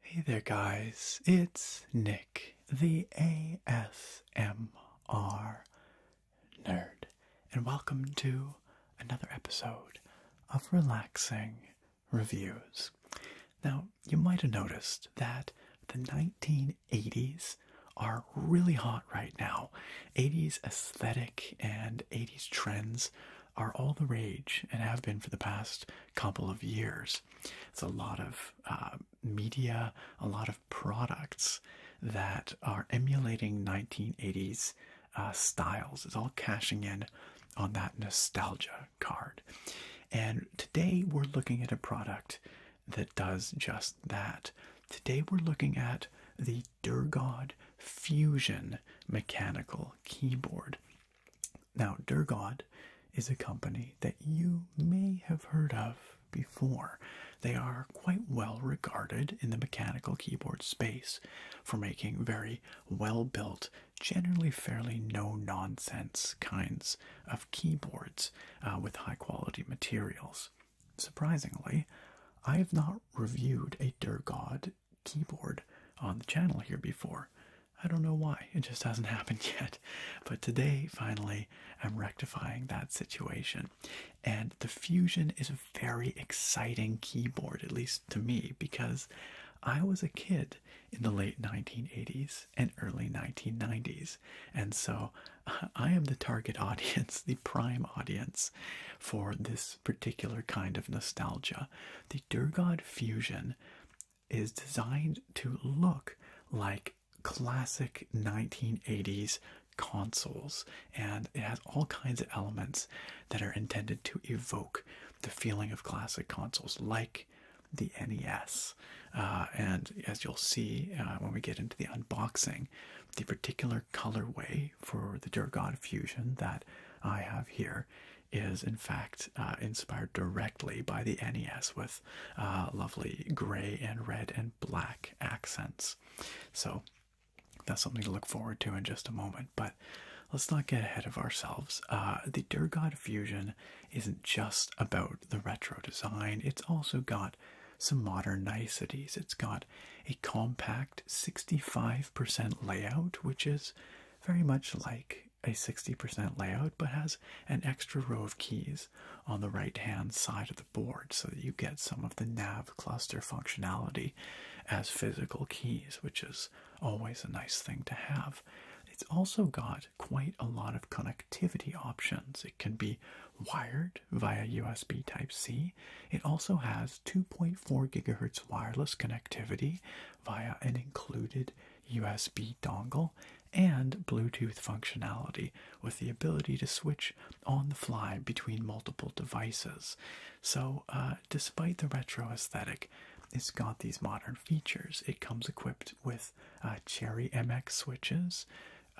Hey there, guys. It's Nick, the ASMR nerd, and welcome to another episode of Relaxing reviews. Now, you might have noticed that the 1980s are really hot right now. 80s aesthetic and 80s trends are all the rage and have been for the past couple of years. It's a lot of uh, media, a lot of products that are emulating 1980s uh, styles. It's all cashing in on that nostalgia card. And today we're looking at a product that does just that. Today we're looking at the Durgod Fusion mechanical keyboard. Now, Durgod is a company that you may have heard of before. They are quite well regarded in the mechanical keyboard space for making very well built generally fairly no nonsense kinds of keyboards uh, with high quality materials. Surprisingly, I have not reviewed a Durgod keyboard on the channel here before. I don't know why, it just hasn't happened yet. But today, finally, I'm rectifying that situation. And the Fusion is a very exciting keyboard, at least to me, because I was a kid in the late 1980s and early 1990s. And so I am the target audience, the prime audience for this particular kind of nostalgia. The Durgod Fusion is designed to look like classic 1980s consoles and it has all kinds of elements that are intended to evoke the feeling of classic consoles like the NES. Uh, and as you'll see uh, when we get into the unboxing, the particular colorway for the Durgod Fusion that I have here is in fact uh, inspired directly by the NES with lovely gray and red and black accents. So that's something to look forward to in just a moment. But let's not get ahead of ourselves. Uh, the Durgod Fusion isn't just about the retro design; it's also got some modern niceties. It's got a compact 65% layout, which is very much like a 60% layout, but has an extra row of keys on the right-hand side of the board, so that you get some of the nav cluster functionality as physical keys, which is always a nice thing to have. It's also got quite a lot of connectivity options. It can be wired via USB Type C. It also has 2.4 gigahertz wireless connectivity via an included USB dongle and Bluetooth functionality with the ability to switch on the fly between multiple devices. So, uh, despite the retro aesthetic, it's got these modern features. It comes equipped with uh, Cherry MX switches,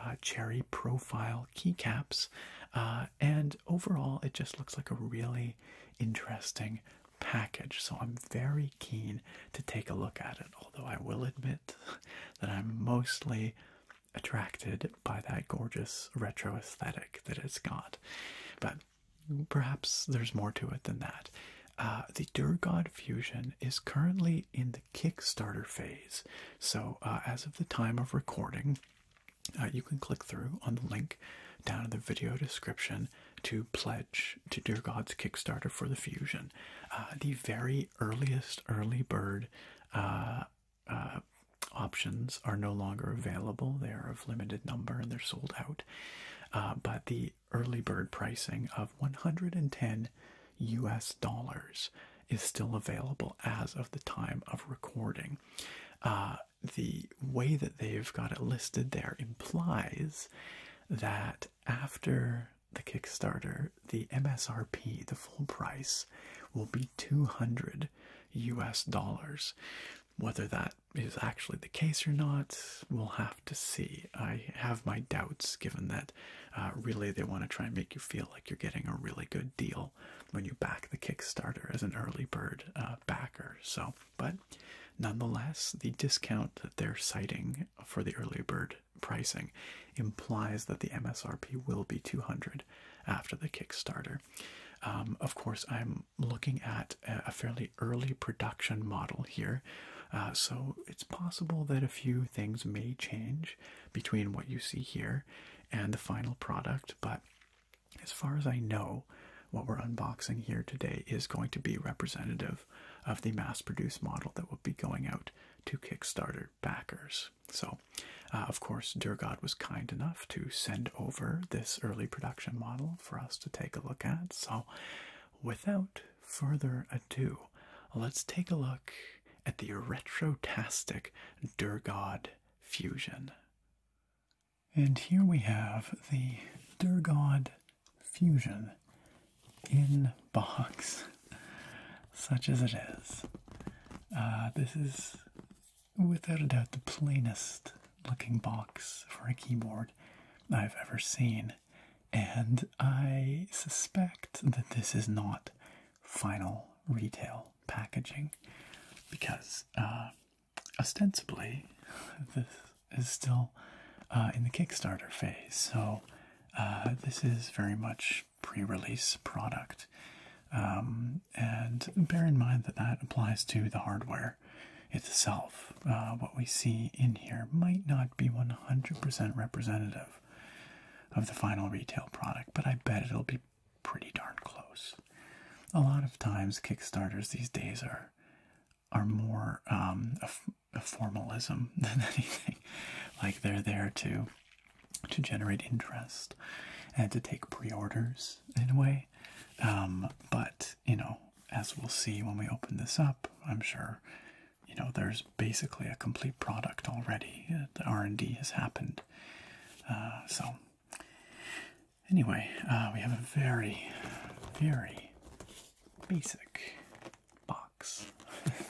uh, Cherry profile keycaps, uh, and overall, it just looks like a really interesting package. So I'm very keen to take a look at it, although I will admit that I'm mostly attracted by that gorgeous retro aesthetic that it's got. But Perhaps there's more to it than that. Uh, the Durgod Fusion is currently in the Kickstarter phase. So, uh, as of the time of recording, uh, you can click through on the link down in the video description to pledge to Dear God's Kickstarter for the Fusion. Uh, the very earliest early bird options are no longer available. They are of limited number and they're sold out. but the early bird pricing of 110 US dollars is still available as of the time of recording. Uh, the way that they've got it listed there implies that after the Kickstarter, the MSRP, the full price, will be 200 US dollars. Whether that is actually the case or not, we'll have to see. I have my doubts given that uh, really they want to try and make you feel like you're getting a really good deal when you back the Kickstarter as an early bird uh, backer. So, but nonetheless, the discount that they're citing for the early bird pricing implies that the MSRP will be 200 after the Kickstarter. Um, of course, I'm looking at a fairly early production model here. Uh, so it's possible that a few things may change between what you see here and the final product, but as far as I know, what we're unboxing here today is going to be representative of the mass produced model that will be going out to Kickstarter backers. So, uh, of course, Durgod was kind enough to send over this early production model for us to take a look at. So, without further ado, let's take a look at the retrotastic Durgod fusion. And here we have the Durgod fusion in box, such as it is. Uh, this is without a doubt the plainest looking box for a keyboard I've ever seen and I suspect that this is not final retail packaging because uh, ostensibly this is still uh, in the Kickstarter phase, so uh, this is very much pre-release product. Um, and bear in mind that that applies to the hardware itself, uh, what we see in here, might not be 100% representative of the final retail product, but I bet it'll be pretty darn close. A lot of times, Kickstarters these days are are more um, a, formalism than anything. Like they're there to to generate interest and to take pre-orders in a way, um, but you know, as we'll see when we open this up, I'm sure you know there's basically a complete product already. The R&D has happened. Uh, so anyway, uh, we have a very, very basic box.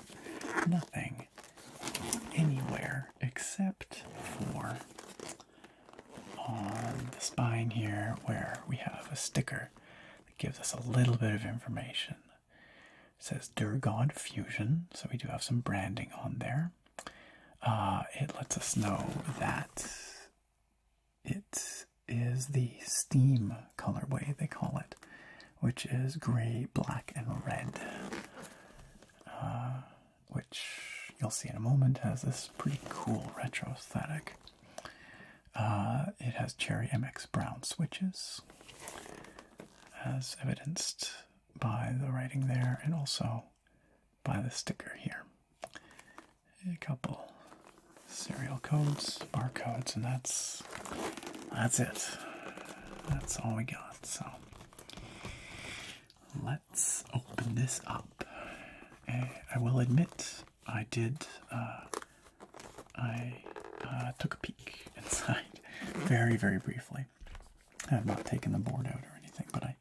Nothing anywhere except for on the spine here where we have a sticker gives us a little bit of information. says Durgod Fusion, so we do have some branding on there. Uh, it lets us know that it is the steam colorway, they call it, which is gray, black, and red. Uh, which you'll see in a moment has this pretty cool retro aesthetic. Uh, it has Cherry MX Brown switches, as evidenced by the writing there and also by the sticker here. A couple serial codes, barcodes, and that's that's it. That's all we got. So let's open this up. Eh, I will admit I did, uh, I uh, took a peek inside very, very briefly. I have not taken the board out or anything, but I,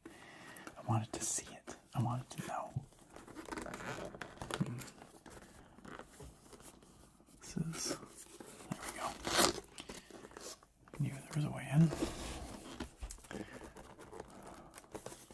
I wanted to see it. I wanted to know. Hmm. This is, there we go. I knew a way in.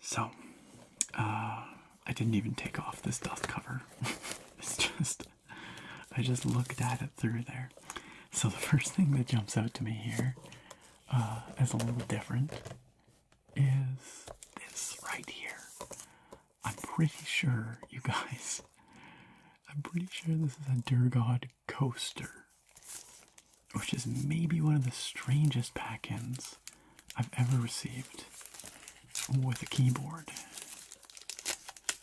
So, uh, I didn't even take off this dust cover. it's just, I just looked at it through there. So, the first thing that jumps out to me here uh, a little different is this right here. I'm pretty sure, you guys, I'm pretty sure this is a Durgod coaster which is maybe one of the strangest pack-ins I've ever received with a keyboard.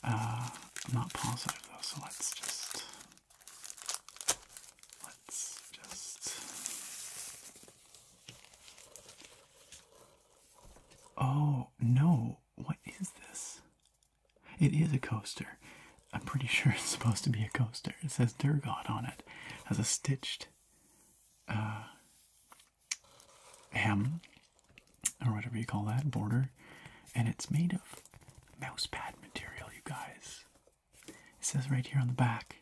Uh, not positive though, so let's just let's just. Oh no! What is this? It is a coaster. I'm pretty sure it's supposed to be a coaster. It says Durgot on it has a stitched uh, hem, or whatever you call that, border, and it's made of mousepad material, you guys. It says right here on the back,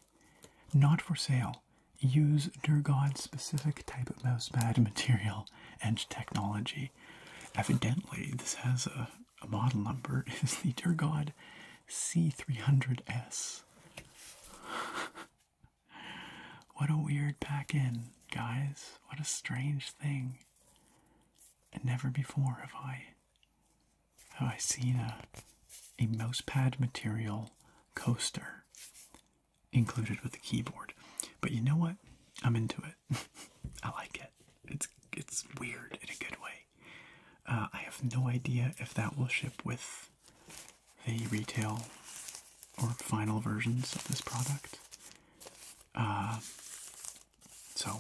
not for sale. Use Durgod's specific type of mousepad material and technology. Evidently, this has a, model number. Is the Durgod C300S. what a weird pack in, guys. What a strange thing. And never before have I have I seen a a mousepad material coaster included with the keyboard. But you know what? I'm into it. I like it. It's it's weird in a good way. Uh, I have no idea if that will ship with the retail or final versions of this product. Uh, so,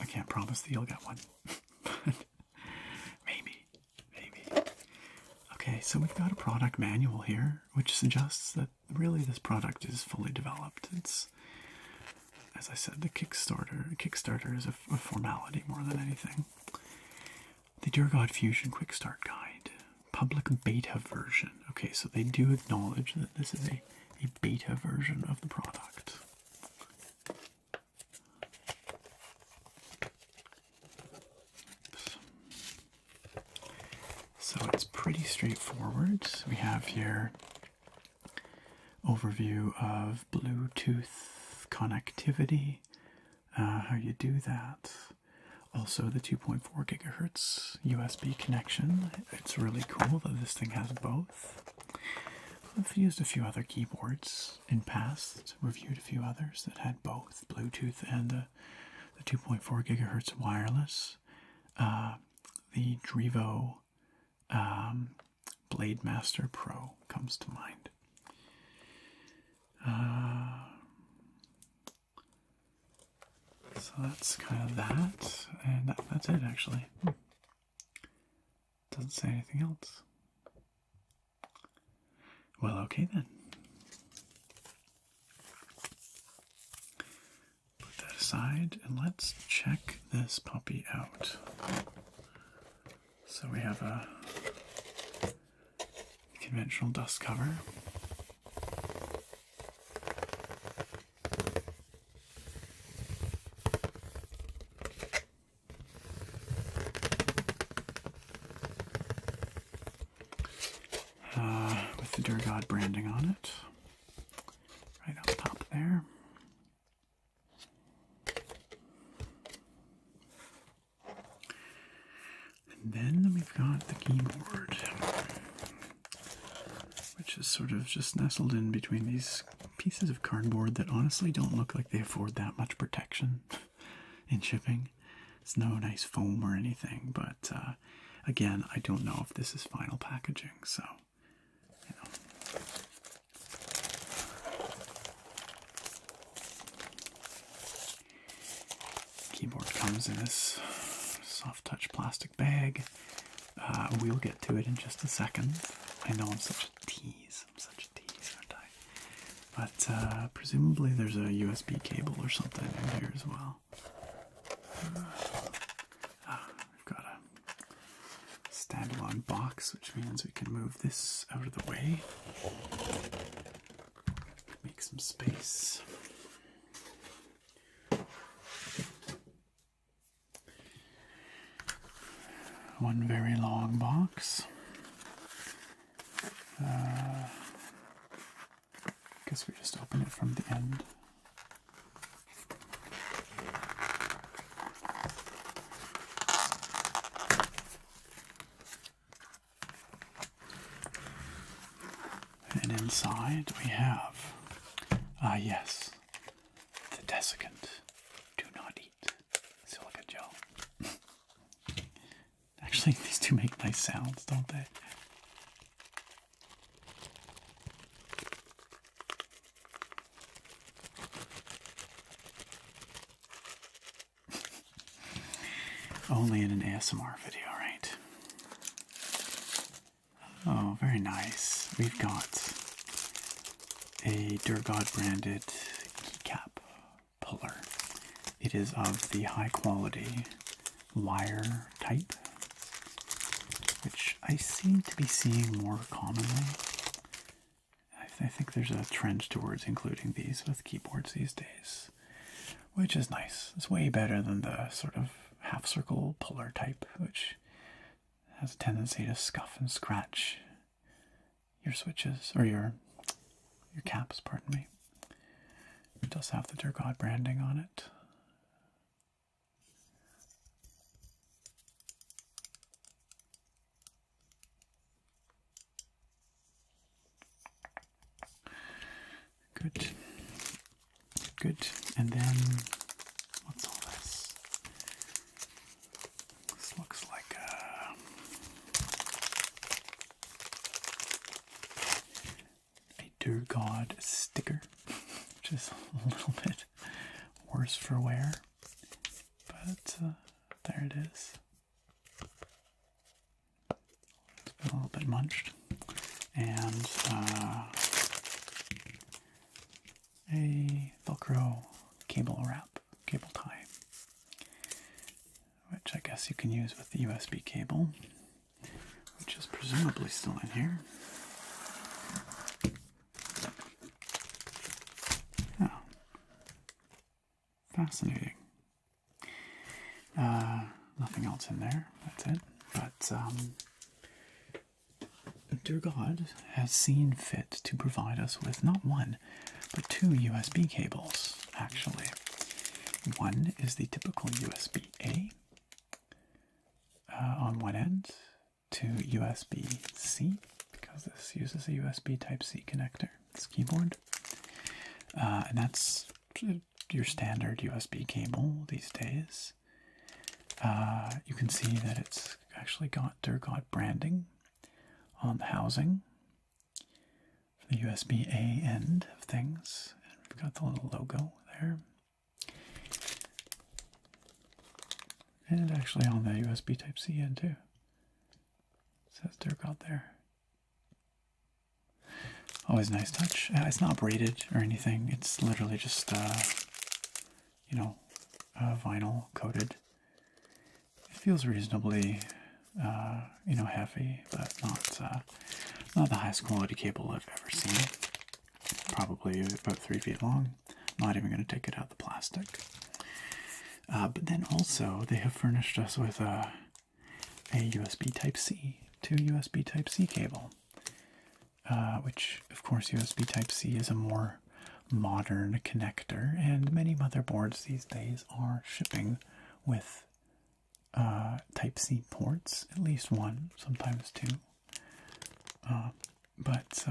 I can't promise that you'll get one. maybe. Maybe. Okay, so we've got a product manual here, which suggests that really this product is fully developed. It's, as I said, the Kickstarter. Kickstarter is a formality more than anything. The Dear God Fusion Quick Start Guide, public beta version. Okay, so they do acknowledge that this is a, a beta version of the product. So it's pretty straightforward. We have here overview of Bluetooth connectivity uh, how you do that. Also, the 2.4 gigahertz USB connection. It's really cool that this thing has both. I've used a few other keyboards in past, reviewed a few others that had both Bluetooth and the, 2.4 gigahertz wireless. Uh, the Drivo um, Blade Master Pro comes to mind. Uh, so that's kind of that, and that's it actually. Hmm. Doesn't say anything else. Well, okay then. Put that aside and let's check this puppy out. So we have a conventional dust cover. Uh, with the Dear branding on it, right on top there. And then we've got the keyboard, which is sort of just nestled in between these pieces of cardboard that honestly don't look like they afford that much protection in shipping. It's no nice foam or anything, but uh, again, I don't know if this is final packaging, so you know. Keyboard comes in this soft touch plastic bag. Uh, we'll get to it in just a second. I know I'm such a tease. I'm such a tease, aren't I? But uh, presumably there's a USB cable or something in here as well. Uh, ah, have got a standalone box, which means we can move this out of the way. Make some space. One very long box. Uh, guess we just open it from the end. And inside we have, ah, yes, the desiccant. Do not eat silica gel. Actually, these two make nice sounds, don't they? Only in an ASMR video, right? Oh, very nice. We've got a Durgod branded keycap puller. It is of the high quality wire type, which I seem to be seeing more commonly I, think there's a trend towards including these with keyboards these days, which is nice. It's way better than the sort of half circle polar type, which has a tendency to scuff and scratch your switches or your your caps, pardon me. It does have the Durgod branding on it. Good. Good. And then what's all this? This looks like uh, a Dear God sticker, which is a little bit worse for wear, but uh, there it is a little bit munched. And uh, a Velcro cable wrap, cable tie, which I guess you can use with the USB cable, which is presumably still in here. Oh. Fascinating. Uh, nothing else in there, that's it. But um, dear God has seen fit to provide us with not one, but two USB cables, actually. One is the typical USB A uh, on one end to USB C, because this uses a USB Type C connector this keyboard. Uh, and that's your standard USB cable these days. Uh, you can see that it's actually got Durgot branding on the housing for the USB A end of things. And we've got the little logo there. And actually on the USB Type C end too. says Durgot there. Always nice touch. it's not braided or anything. It's literally just, uh, you know, vinyl coated. It feels reasonably, uh, you know, heavy, but not uh, not the highest quality cable I've ever seen. Probably about three feet long. not even going to take it out of the plastic. Uh, but then also they have furnished us with a, USB Type C, to USB Type C cable, uh, which of course USB Type C is a more modern connector, and many motherboards these days are shipping with uh, Type C ports, at least one, sometimes two. but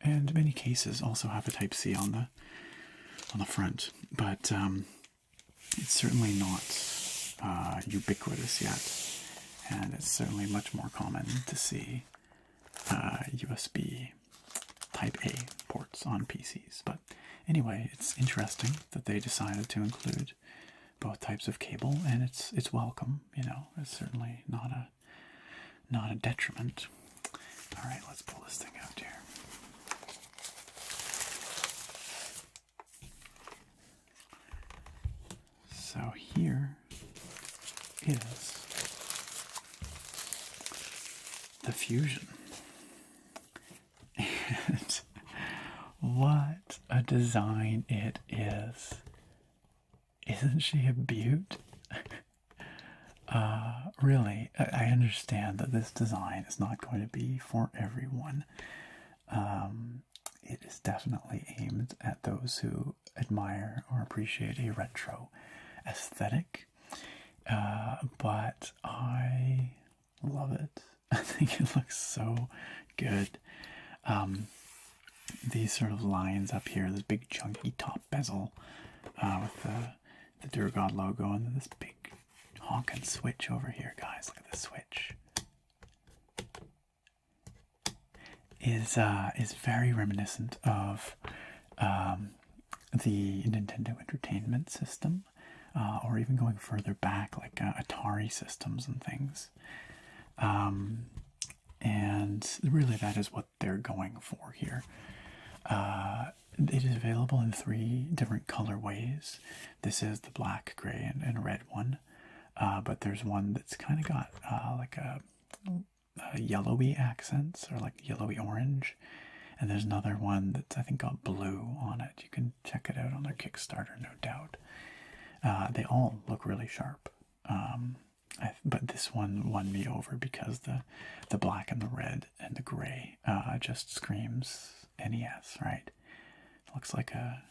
and many cases also have a Type C on the on the front but um, it's certainly not uh, ubiquitous yet, and it's certainly much more common to see USB uh, Type A ports on PCs. But anyway, it's interesting that they decided to include both types of cable, and it's it's welcome. You know, it's certainly not a not a detriment. All right, let's pull this thing out here. So here is the fusion. And what a design it is. Isn't she a beaut? Uh, really, I understand that this design is not going to be for everyone. Um, it is definitely aimed at those who admire or appreciate a retro aesthetic, uh, but I love it. I think it looks so good. Um, these sort of lines up here, this big chunky top bezel uh, with the the logo, and this big honking switch over here, guys. Look at the switch. Is uh, is very reminiscent of um, the Nintendo Entertainment System, uh, or even going further back, like uh, Atari systems and things. Um, and really, that is what they're going for here. Uh, it is available in three different color ways. This is the black, gray, and, red one, uh, but there's one that's kind of got uh, like a, yellowy accents or like yellowy orange, and there's another one that's I think got blue on it. You can check it out on their Kickstarter, no doubt. Uh, they all look really sharp. Um, but this one won me over because the the black and the red and the gray uh, just screams NES, right? looks like a,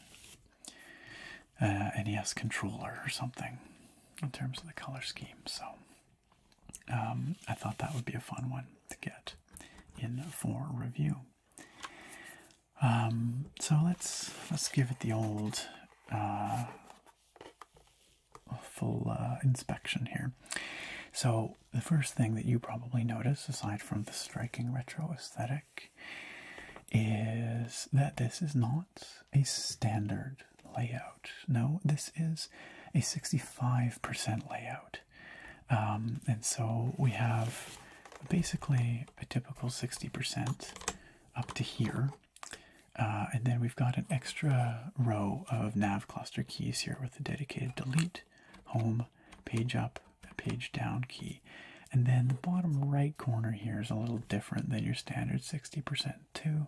NES controller or something in terms of the color scheme. So um, I thought that would be a fun one to get in for review. Um, so let's let's give it the old uh, full uh, inspection here. So the first thing that you probably notice, aside from the striking retro aesthetic, is that this is not a standard layout. No, this is a 65% layout. Um, and so we have basically a typical 60% up to here. Uh, and then we've got an extra row of nav cluster keys here with a dedicated delete home, page up, page down key. And then the bottom right corner here is a little different than your standard 60% too,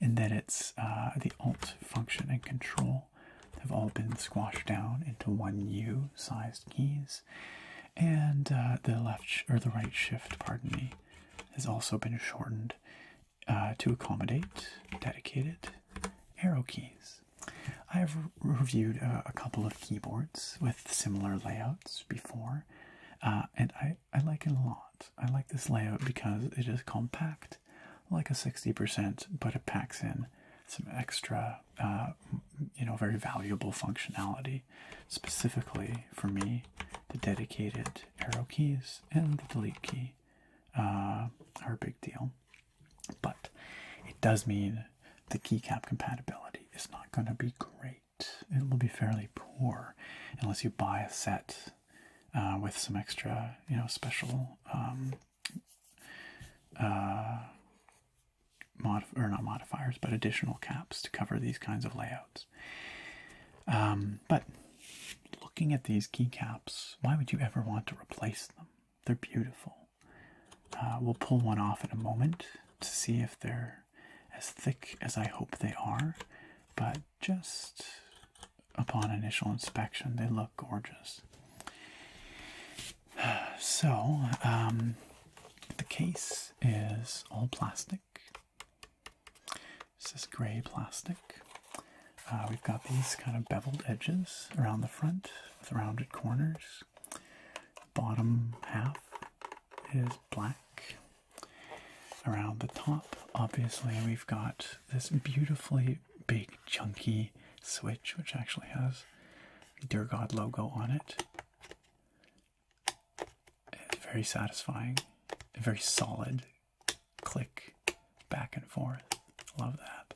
in that it's uh, the Alt function and Control have all been squashed down into one U sized keys, and uh, the left or the right shift, pardon me, has also been shortened uh, to accommodate dedicated arrow keys. I have reviewed uh, a couple of keyboards with similar layouts before, uh, and I, I like it a lot. I like this layout because it is compact, like a 60%, but it packs in some extra, uh, you know, very valuable functionality, specifically for me, the dedicated arrow keys and the delete key are a big deal. But it does mean the keycap compatibility is not going to be great. It will be fairly poor unless you buy a set uh, with some extra, you know, special um, uh, mod or not modifiers, but additional caps to cover these kinds of layouts. Um, but looking at these keycaps, why would you ever want to replace them? They're beautiful. Uh, we'll pull one off in a moment to see if they're as thick as I hope they are, but just upon initial inspection, they look gorgeous. So, um, the case is all plastic. This is gray plastic. Uh, we've got these kind of beveled edges around the front with rounded corners. Bottom half is black. Around the top, obviously, we've got this beautifully big, chunky switch, which actually has Dear God logo on it. It's very satisfying, a very solid click back and forth. Love that.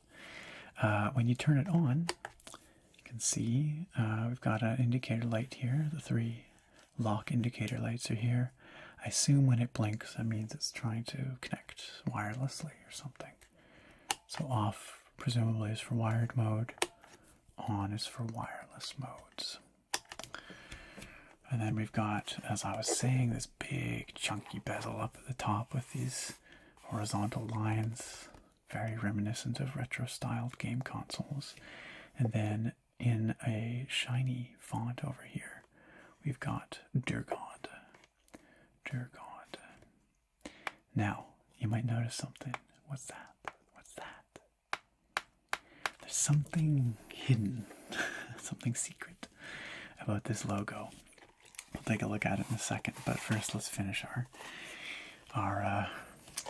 Uh, when you turn it on, you can see uh, we've got an indicator light here. The three lock indicator lights are here. I assume when it blinks, that means it's trying to connect wirelessly or something. So off, presumably, is for wired mode. On is for wireless modes. And then we've got, as I was saying, this big chunky bezel up at the top with these horizontal lines, very reminiscent of retro styled game consoles. And then in a shiny font over here, we've got Dear God. Dear God. Now, you might notice something. What's that? What's that? There's something hidden, something secret about this logo. We'll take a look at it in a second, but first let's finish our our uh,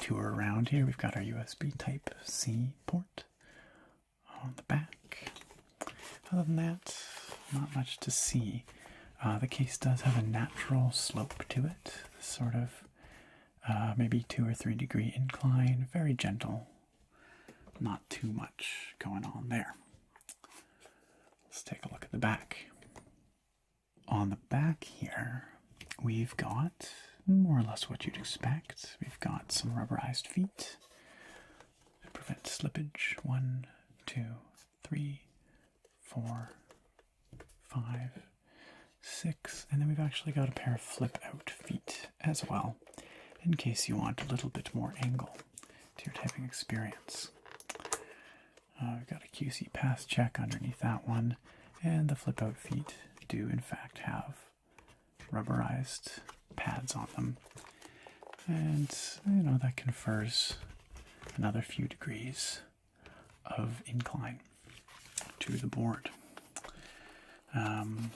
tour around here. We've got our USB Type C port on the back. Other than that, not much to see. Uh, the case does have a natural slope to it, sort of uh, maybe two or three degree incline, very gentle, not too much going on there. Let's take a look at the back. On the back here, we've got more or less what you'd expect. We've got some rubberized feet to prevent slippage. One, two, three, four, five, six. And then we've actually got a pair of flip out feet as well, in case you want a little bit more angle to typing experience. Uh, we've got a QC pass check underneath that one, and the flip out feet do, in fact, have rubberized pads on them. And, you know, that confers another few degrees of incline to the board. Um,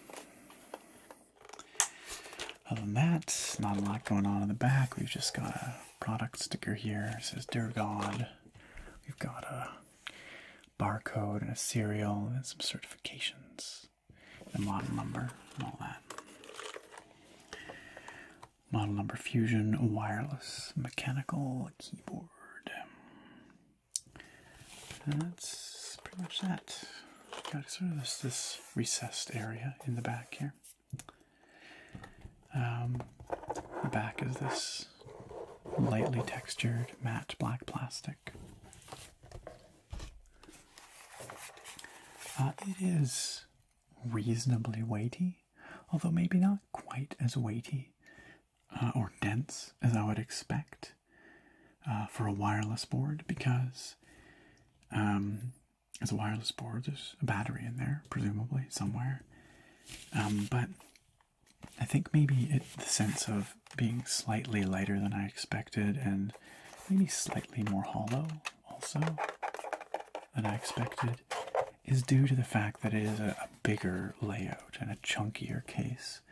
other than that, not a lot going on in the back. We've just got a product sticker here. says Dear God. We've got a barcode and a serial and some certifications. The model number and all that. Model number Fusion Wireless Mechanical Keyboard. And that's pretty much that. Got sort of this recessed area in the back here. Um, the back is this lightly textured matte black plastic. Uh, it is reasonably weighty, although maybe not quite as weighty uh, or dense as I would expect uh, for a wireless board because um, it's a wireless board. There's a battery in there, presumably somewhere. Um, but I think maybe the sense of being slightly lighter than I expected, and maybe slightly more hollow also than I expected, is due to the fact that it is a, bigger layout and a chunkier case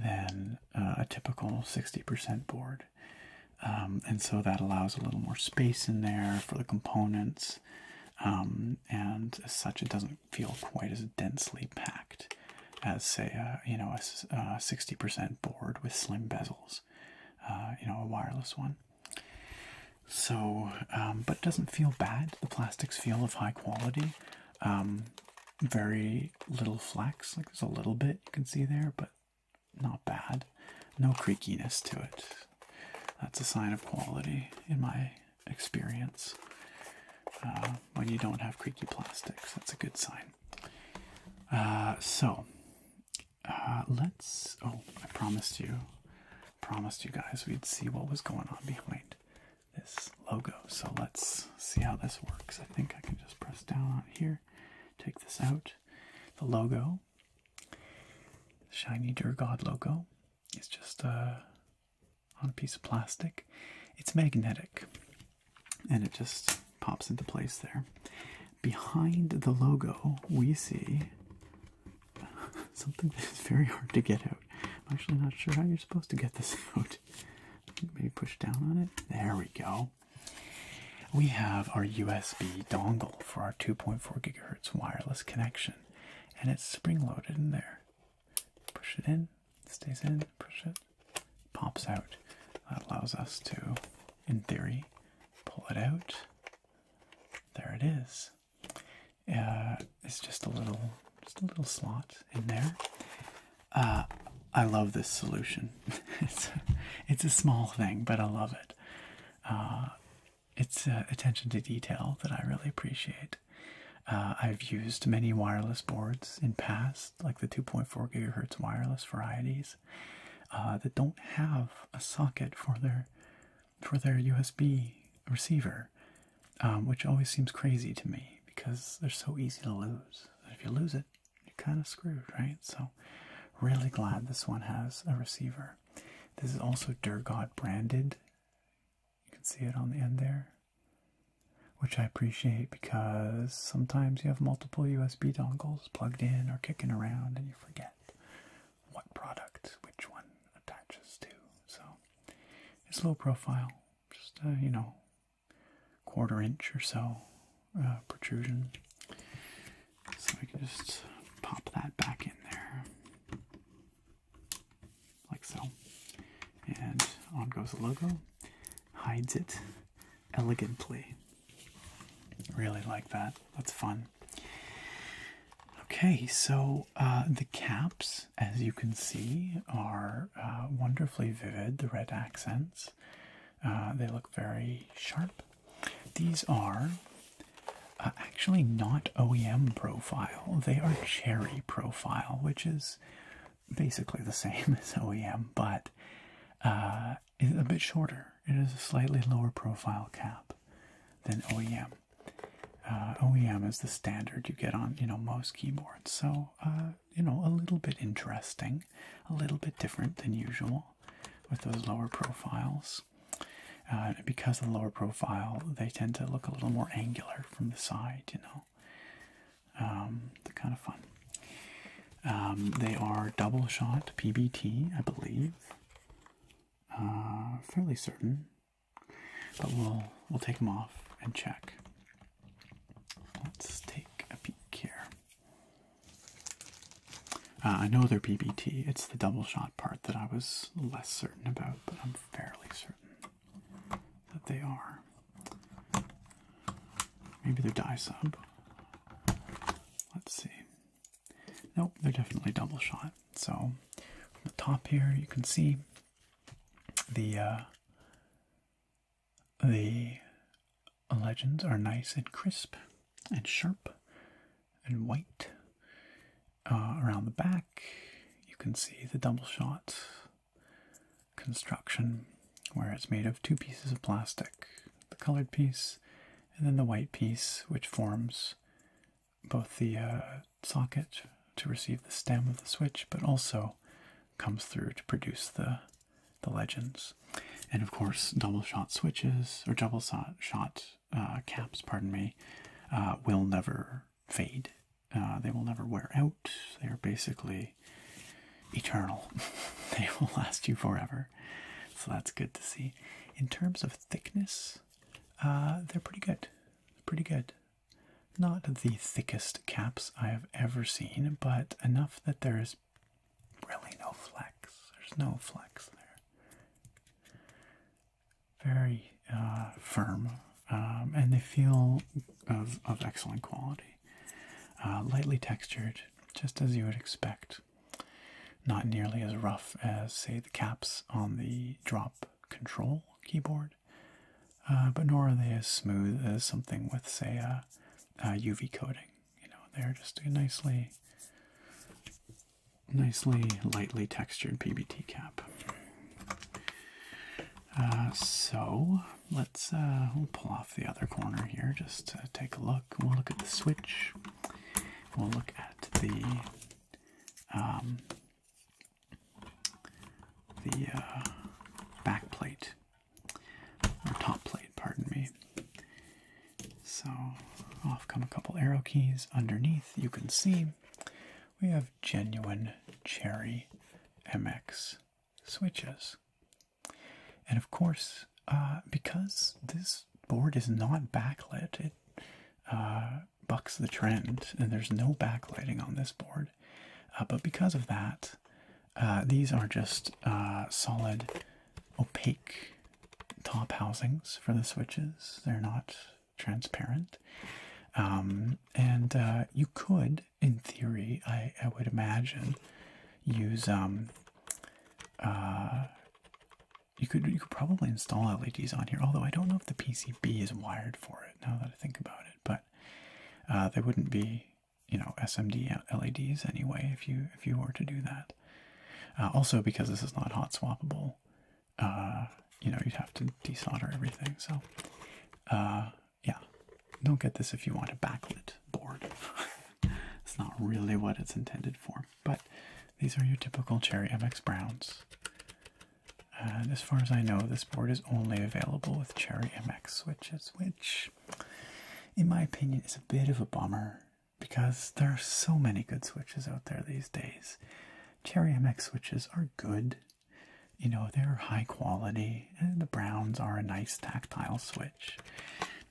than uh, a typical 60% board. Um, and so that allows a little more space in there for the components, um, and as such, it doesn't feel quite as densely packed as, say, a, you know, a sixty percent board with slim bezels, uh, you know, a wireless one. So, um, but doesn't feel bad. The plastics feel of high quality. very little flex, like there's a little bit you can see there, but not bad. No creakiness to it. That's a sign of quality in my experience. Uh, when you don't have creaky plastics, that's a good sign. Uh, so, uh, let's. Oh, I promised you, promised you guys we'd see what was going on behind this logo. So let's see how this works. I think I can just press down on here, take this out. The logo Shiny Durgod logo. It's just uh, on a piece of plastic. It's magnetic and it just pops into place there. Behind the logo, we see something that is very hard to get out. I'm actually not sure how you're supposed to get this out. Maybe push down on it. There we go. We have our USB dongle for our 2.4 gigahertz gigahertz wireless connection, and it's spring loaded in there. Push it in, stays in, push it, pops out. That allows us to, in theory, pull it out. There it is. Uh, it's just a little, just a little slot in there. Uh, I love this solution. it's, a, it's a small thing, but I love it. Uh, it's uh, attention to detail that I really appreciate. Uh, I've used many wireless boards in past, like the 2.4 gigahertz wireless varieties, uh, that don't have a socket for their for their USB receiver, um, which always seems crazy to me because they're so easy to lose. If you lose it, you're kind of screwed, right? So, really glad this one has a receiver. This is also Durgot branded. You can see it on the end there, which I appreciate because sometimes you have multiple USB dongles plugged in or kicking around and you forget what product which one attaches to. So it's low profile, just, a uh, you know, quarter inch or so uh, protrusion. So we can just pop that back in there, like so. And on goes the logo, hides it elegantly. Really like that. That's fun. Okay, so uh, the caps, as you can see, are uh, wonderfully vivid, the red accents. Uh, they look very sharp. These are actually not OEM profile. They are Cherry profile, which is basically the same as OEM, but uh, is a bit shorter. It is a slightly lower profile cap than OEM. Uh, OEM is the standard you get on you know most keyboards, so uh, you know a little bit interesting, a little bit different than usual with those lower profiles. Uh, because of the lower profile, they tend to look a little more angular from the side, you know. Um, they're kind of fun. Um, they are double shot PBT, I believe. Uh, fairly certain, but we'll we'll take them off and check. Let's take a peek here. Uh, I know they're BBT. It's the double shot part that I was less certain about, but I'm fairly certain that they are. Maybe they're die sub. Let's see. Nope, they're definitely double shot. So, from the top here, you can see the uh, the legends are nice and crisp and sharp and white. Uh, around the back, you can see the double shot construction where it's made of two pieces of plastic the colored piece and then the white piece, which forms both the uh, socket to receive the stem of the switch, but also comes through to produce the, the legends. And of course, double shot switches or double shot shot uh, caps, pardon me, uh, will never fade. Uh, they will never wear out. They are basically eternal. they will last you forever. So that's good to see. In terms of thickness, they're pretty good. Pretty good. Not the thickest caps I have ever seen, but enough that there is really no flex. There's no flex there very uh, firm, um, and they feel of, excellent quality. Uh, lightly textured, just as you would expect. Not nearly as rough as, say, the caps on the drop control keyboard, uh, but nor are they as smooth as something with, say, a, a UV coating. You know, they're just nicely nicely lightly textured PBT cap. Uh, so let's uh, pull off the other corner here just take a look. We'll look at the switch. We'll look at the um, the uh, back plate or top plate, pardon me. So off come a couple arrow keys. Underneath, you can see we have genuine Cherry MX switches. And of course, uh, because this board is not backlit, it uh, bucks the trend, and there's no backlighting on this board. Uh, but because of that, these are just solid, opaque top housings for the switches. They're not transparent. Um, and uh, you could, in theory, I, I would imagine, use um, uh, you could you could probably install LEDs on here. Although I don't know if the PCB is wired for it. Now that I think about it, but uh, they wouldn't be you know SMD LEDs anyway if you if you were to do that. Uh, also, because this is not hot swappable, uh, you know, you'd have to desolder everything. So, uh, yeah, don't get this if you want a backlit board. it's not really what it's intended for. But these are your typical Cherry MX Browns. And as far as I know, this board is only available with Cherry MX switches, which, in my opinion, is a bit of a bummer because there are so many good switches out there these days. Cherry MX switches are good. You know, they're high quality. the browns are a nice tactile switch.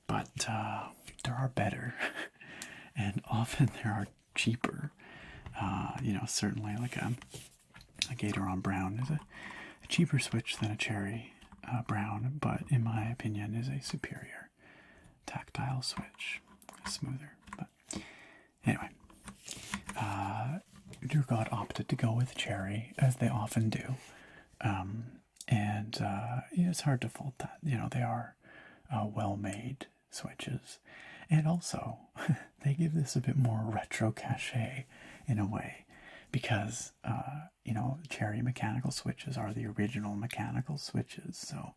But uh, there are better. and often there are cheaper. Uh, you know, certainly like a, a Gatoron Brown is a, cheaper switch than a Cherry uh, Brown, but in my opinion is a superior tactile switch. Smoother. Anyway, uh, God opted to go with Cherry, as they often do. Um, and uh, it's hard to fault that. You know, they are uh, well made switches. And also, they give this a bit more retro cachet in a way, because, uh, you know, Cherry mechanical switches are the original mechanical switches. So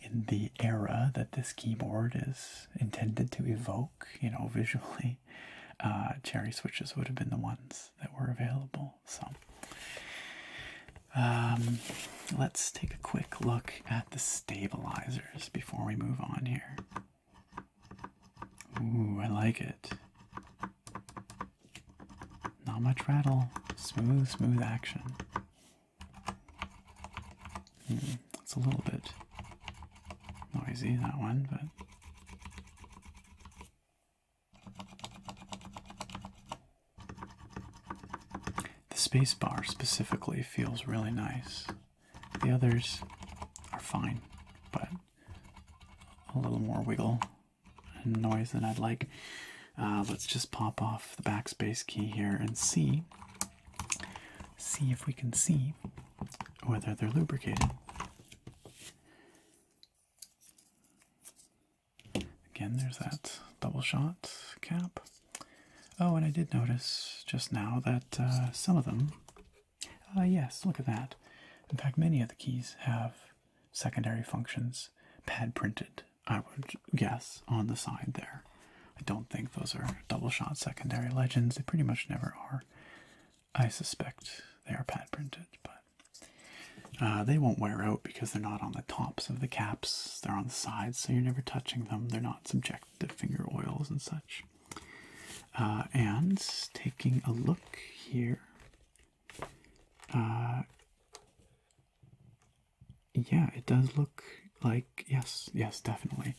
in the era that this keyboard is intended to evoke, you know, visually, uh, cherry switches would have been the ones that were available. So, um, let's take a quick look at the stabilizers before we move on here. Ooh, I like it. Not much rattle, smooth, smooth action. Hmm, it's a little bit noisy, that one, but. The space bar specifically feels really nice. The others are fine, but a little more wiggle and noise than I'd like. Uh, let's just pop off the backspace key here and see see if we can see whether they're lubricated. Again, there's that double shot cap. Oh, and I did notice just now that uh, some of them, uh, yes, look at that. In fact, many of the keys have secondary functions pad printed I would guess, on the side there. I don't think those are double shot secondary legends. They pretty much never are. I suspect they are pad printed, but uh, they won't wear out because they're not on the tops of the caps. They're on the sides, so you're never touching them. They're not subject to finger oils and such. Uh, and taking a look here. Uh, yeah, it does look like yes, yes, definitely.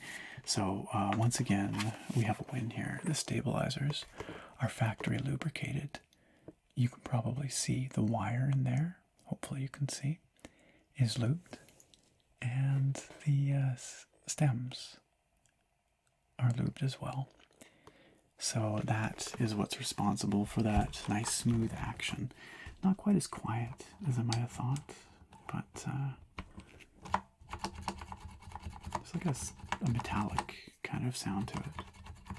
So uh, once again, we have a win here. The stabilizers are factory lubricated. You can probably see the wire in there. Hopefully, you can see is looped, and the uh, stems are looped as well. So that is what's responsible for that nice smooth action. Not quite as quiet as I might have thought but it's uh, like a, metallic kind of sound to it,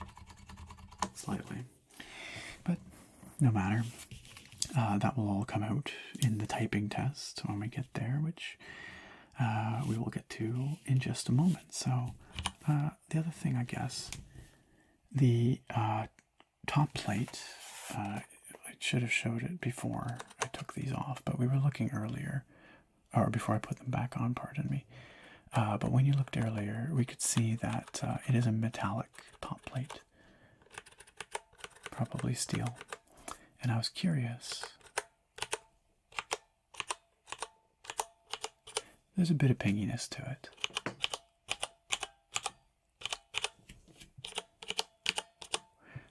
slightly. But no matter, uh, that will all come out in the typing test when we get there, which uh, we will get to in just a moment. So, the other thing, I guess, the top plate. Uh, I should have showed it before I took these off, but we were looking earlier, or before I put them back on, pardon me. Uh, but when you looked earlier, we could see that uh, it is a metallic top plate, probably steel. And I was curious. There's a bit of pinginess to it.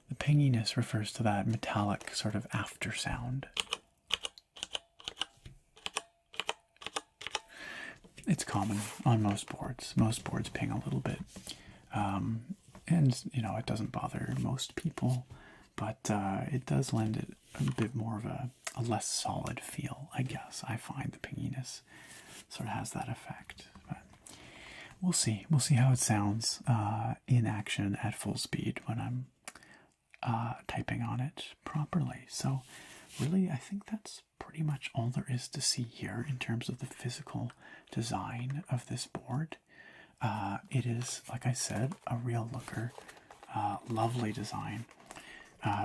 The pinginess refers to that metallic sort of after sound. It's common on most boards. Most boards ping a little bit. Um, and, you know, it doesn't bother most people, but uh, it does lend it a bit more of a, less solid feel, I guess. I find the pinginess sort of has that effect we'll see. We'll see how it sounds uh, in action at full speed when I'm uh, typing on it properly. So, really, I think that's pretty much all there is to see here in terms of the physical design of this board. Uh, it is, like I said, a real looker. lovely design.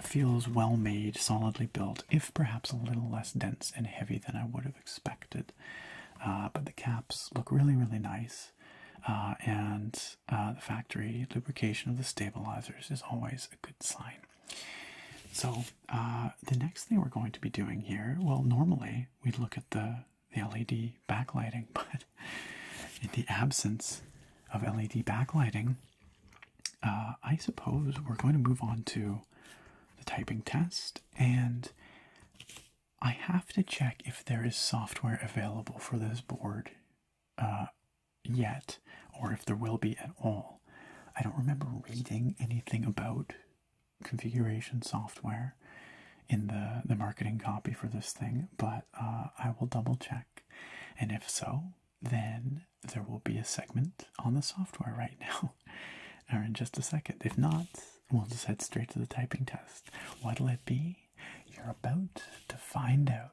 feels well made, solidly built, if perhaps a little less dense and heavy than I would have expected. Uh, but the caps look really, really nice. Uh, and uh, the factory lubrication of the stabilizers is always a good sign. So the next thing we're going to be doing here, well, normally we'd look at the the LED backlighting, but in the absence of LED backlighting, I suppose we're going to move on to the typing test and I have to check if there is software available for this board uh, yet, or if there will be at all. I don't remember reading anything about configuration software in the, the marketing copy for this thing, but uh, I will double check. And if so, then there will be a segment on the software right now or in just a second. If not, we'll just head straight to the typing test. What'll it be? You're about to find out.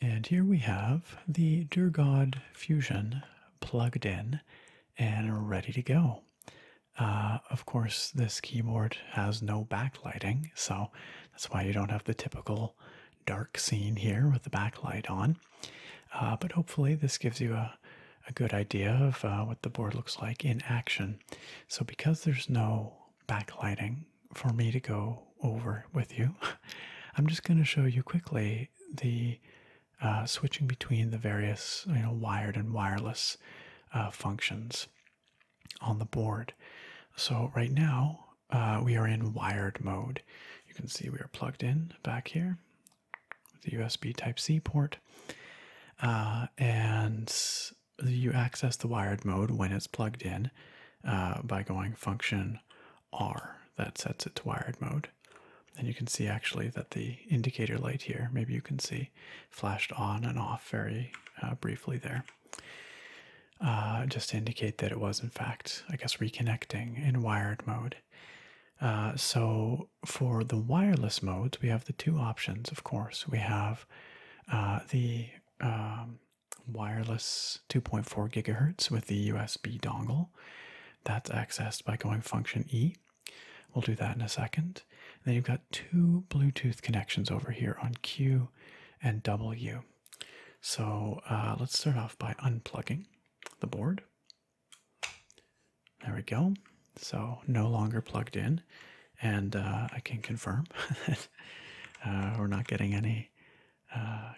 And here we have the Durgod Fusion plugged in and ready to go. Uh, of course, this keyboard has no backlighting, so that's why you don't have the typical dark scene here with the backlight on. Uh, but hopefully, this gives you a, a good idea of uh, what the board looks like in action. So, because there's no backlighting for me to go over with you, I'm just going to show you quickly the uh, switching between the various you know, wired and wireless functions on the board. So, right now, uh, we are in wired mode. You can see we are plugged in back here with the USB Type C port, uh, and you access the wired mode when it's plugged in uh, by going function R that sets it to wired mode. And you can see actually that the indicator light here, maybe you can see, flashed on and off very briefly there. Uh, just to indicate that it was, in fact, I guess, reconnecting in wired mode. Uh, so for the wireless modes, we have the two options, of course. We have uh, the um, wireless 2.4 gigahertz with the USB dongle. That's accessed by going function E. We'll do that in a second. And then you've got two Bluetooth connections over here on Q and W. So uh, let's start off by unplugging the board. There we go. So no longer plugged in, and uh, I can confirm that uh, we're not getting any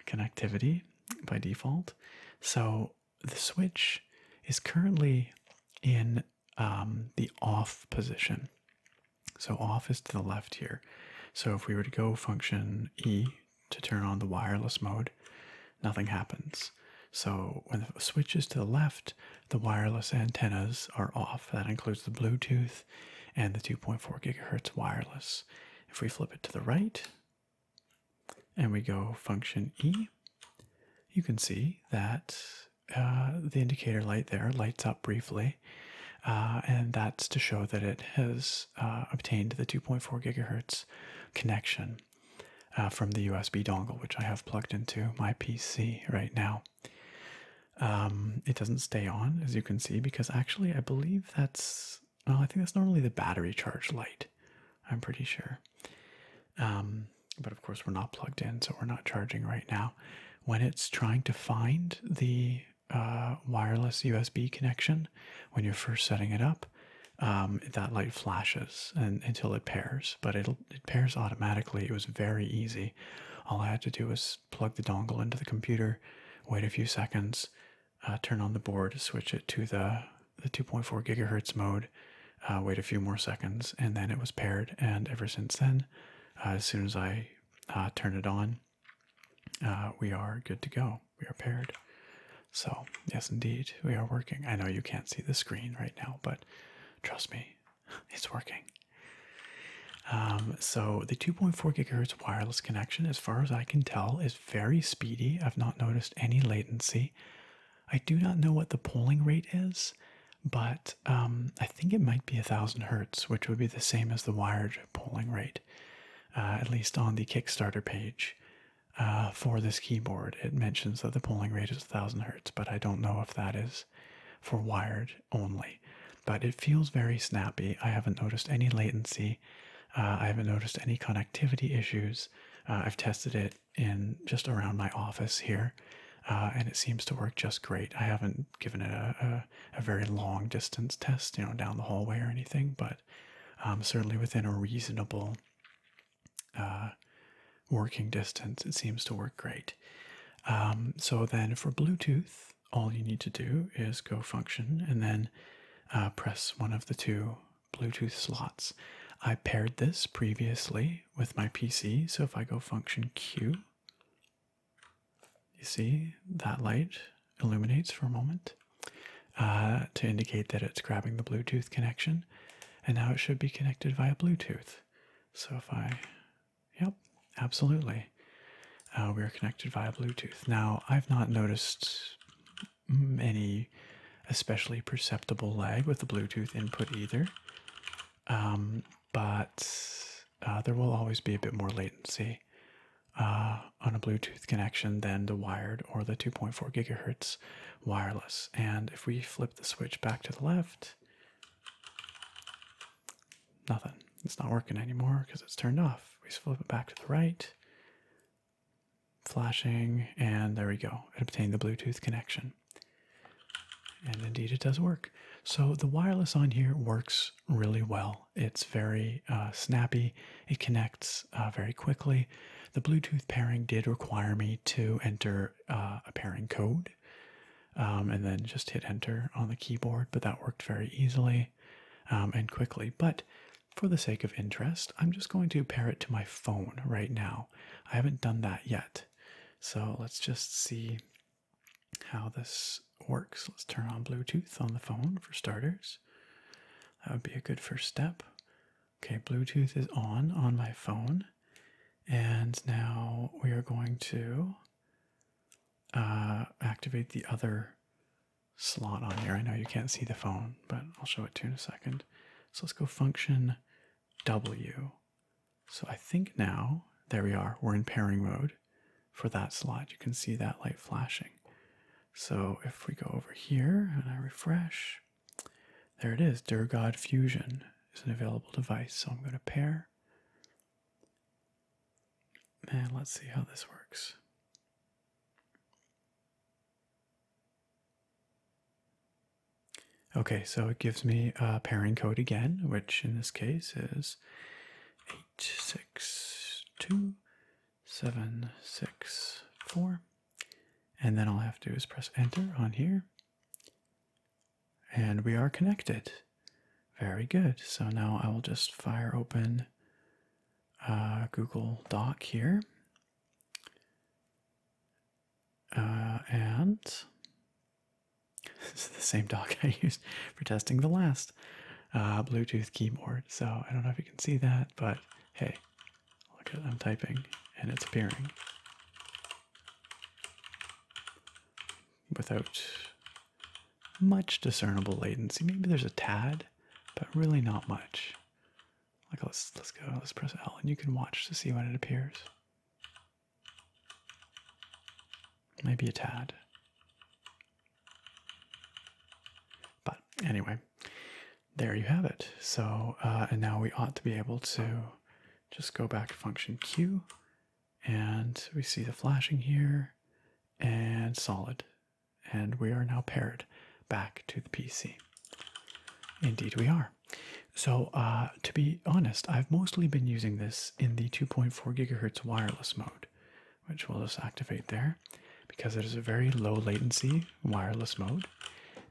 connectivity by default. So the switch is currently in um, the off position. So off is to the left here. So if we were to go function E to turn on the wireless mode, nothing happens. So when the switch is to the left, the wireless antennas are off. That includes the Bluetooth and the 2.4 gigahertz wireless. If we flip it to the right and we go function E, you can see that uh, the indicator light there lights up briefly uh, and that's to show that it has uh, obtained the 2.4 gigahertz connection uh, from the USB dongle, which I have plugged into my PC right now. Um, it doesn't stay on, as you can see, because actually I believe that's I think that's normally the battery charge light. I'm pretty sure. Um, but of course, we're not plugged in, so we're not charging right now. When it's trying to find the uh, wireless USB connection, when you're first setting it up, um, that light flashes and until it pairs, but it'll, it pairs automatically. It was very easy. All I had to do was plug the dongle into the computer, wait a few seconds, uh, turn on the board, switch it to the the 2.4 gigahertz mode, uh, wait a few more seconds, and then it was paired. And ever since then, as soon as I turn it on, uh, we are good to go. We are paired. So, yes, indeed, we are working. I know you can't see the screen right now, but trust me, it's working. Um, so, the 2.4 gigahertz wireless connection, as far as I can tell, is very speedy. I've not noticed any latency. I do not know what the polling rate is, but um, I think it might be 1000 hertz, which would be the same as the wired polling rate. Uh, at least on the Kickstarter page uh, for this keyboard, it mentions that the polling rate is 1000 hertz, but I don't know if that is for wired only. But it feels very snappy. I haven't noticed any latency. Uh, I haven't noticed any connectivity issues. I've tested it in just around my office here, and it seems to work just great. I haven't given it a a, very long distance test, you know, down the hallway or anything, but um, certainly within a reasonable uh, working distance, it seems to work great. Um, so then for Bluetooth, all you need to do is go function and then uh, press one of the two Bluetooth slots. I paired this previously with my PC, so if I go function Q, you see that light illuminates for a moment uh, to indicate that it's grabbing the Bluetooth connection, and now it should be connected via Bluetooth. So if I, yep, absolutely, uh, we're connected via Bluetooth. Now I've not noticed any especially perceptible lag with the Bluetooth input either, um, but uh, there will always be a bit more latency uh, on a Bluetooth connection than the wired or the 2.4 gigahertz wireless. And if we flip the switch back to the left, nothing. It's not working anymore because it's turned off. We flip it back to the right, flashing, and there we go. It obtained the Bluetooth connection. And indeed, it does work. So the wireless on here works really well. It's very uh, snappy, it connects uh, very quickly. The Bluetooth pairing did require me to enter uh, a pairing code um, and then just hit enter on the keyboard, but that worked very easily um, and quickly. But for the sake of interest, I'm just going to pair it to my phone right now. I haven't done that yet. So let's just see how this works. Let's turn on Bluetooth on the phone for starters. That would be a good first step. Okay, Bluetooth is on on my phone. And now we are going to uh, activate the other slot on here. I know you can't see the phone, but I'll show it to you in a second. So let's go function W. So I think now, there we are, we're in pairing mode for that slot. You can see that light flashing. So if we go over here and I refresh, there it is. Durgod Fusion is an available device. So I'm going to pair. And let's see how this works. Okay, so it gives me a pairing code again, which in this case is 862 seven, six, four. And then all I have to do is press enter on here. And we are connected. Very good. So now I will just fire open uh, Google Doc here. Uh, and this is the same doc I used for testing the last. Uh, Bluetooth keyboard. So I don't know if you can see that, but hey, look at I'm typing and it's appearing without much discernible latency. Maybe there's a tad, but really not much. Like let's let's go, let's press L and you can watch to see when it appears. Maybe a tad. But anyway, there you have it. So, uh, and now we ought to be able to just go back to function Q and we see the flashing here and solid. And we are now paired back to the PC. Indeed, we are. So, uh, to be honest, I've mostly been using this in the 2.4 gigahertz wireless mode which we'll just activate there because it is a very low latency wireless mode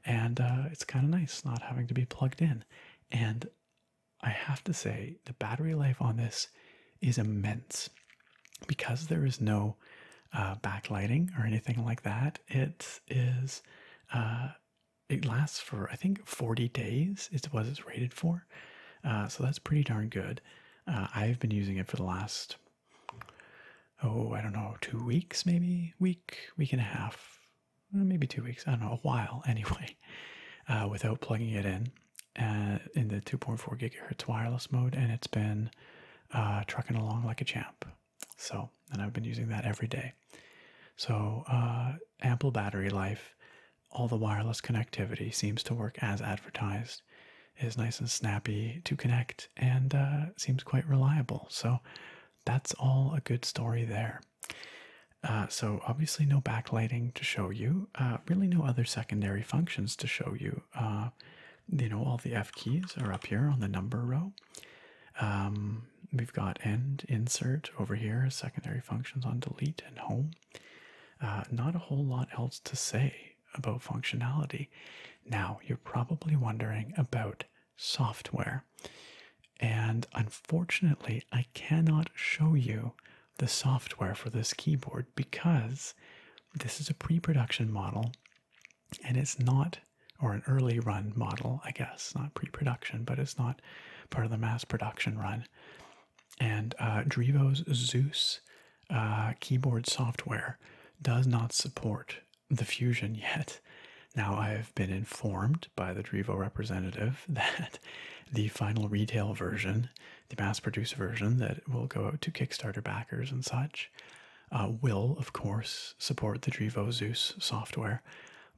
and uh, it's kind of nice not having to be plugged in. And I have to say, the battery life on this is immense because there is no uh, backlighting or anything like that. It is, uh, it lasts for I think 40 days. It was it's rated for, so that's pretty darn good. I've been using it for the last oh, I don't know, two weeks maybe, week, week and a half, uh, maybe two weeks, I don't know, a while anyway, uh, without plugging it in uh, in the 2.4 gigahertz wireless mode, and it's been trucking along like a champ. So, and I've been using that every day. So, ample battery life, all the wireless connectivity seems to work as advertised is nice and snappy to connect and uh, seems quite reliable. So that's all a good story there. Uh, so obviously no backlighting to show you, uh, really no other secondary functions to show you. you know all the F keys are up here on the number row. Um, we've got end, insert over here, secondary functions on delete and home. not a whole lot else to say about functionality. Now, you're probably wondering about software. And unfortunately, I cannot show you the software for this keyboard because this is a pre production model and it's not, or an early run model, I guess, not pre production, but it's not part of the mass production run. And uh, Drivo's Zeus uh, keyboard software does not support the Fusion yet. Now, I have been informed by the Drivo representative that the final retail version, the mass produced version that will go out to Kickstarter backers and such, uh, will, of course, support the Drivo Zeus software,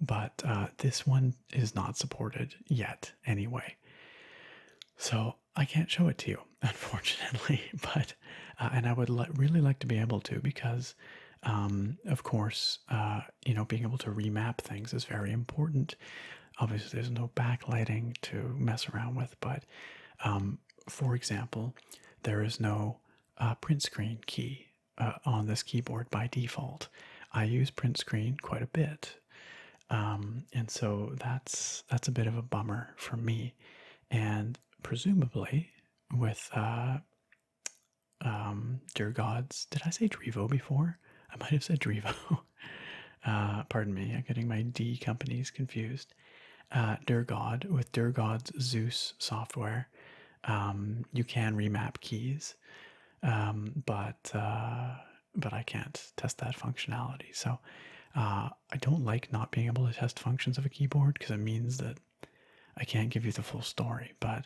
but uh, this one is not supported yet anyway. So I can't show it to you, unfortunately. But uh, and I would really like to be able to because, um, of course, uh, you know, being able to remap things is very important. Obviously, there's no backlighting to mess around with, but um, for example, there is no uh, print screen key on this keyboard by default. I use print screen quite a bit. Um, and so that's that's a bit of a bummer for me. And presumably with uh, um, Dear Gods. Did I say Drivo before? I might have said Drivo. uh, pardon me, I'm getting my D companies confused. Uh, Dear God with Dear God's Zeus software. Um, you can remap keys, um, but uh, but I can't test that functionality. So uh, I don't like not being able to test functions of a keyboard because it means that I can't give you the full story, but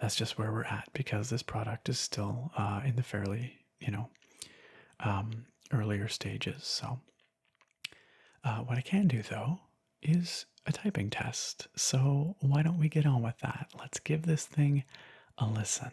that's just where we're at because this product is still uh, in the fairly, you know, um, earlier stages. So, uh, what I can do though is a typing test. So, why don't we get on with that? Let's give this thing a listen.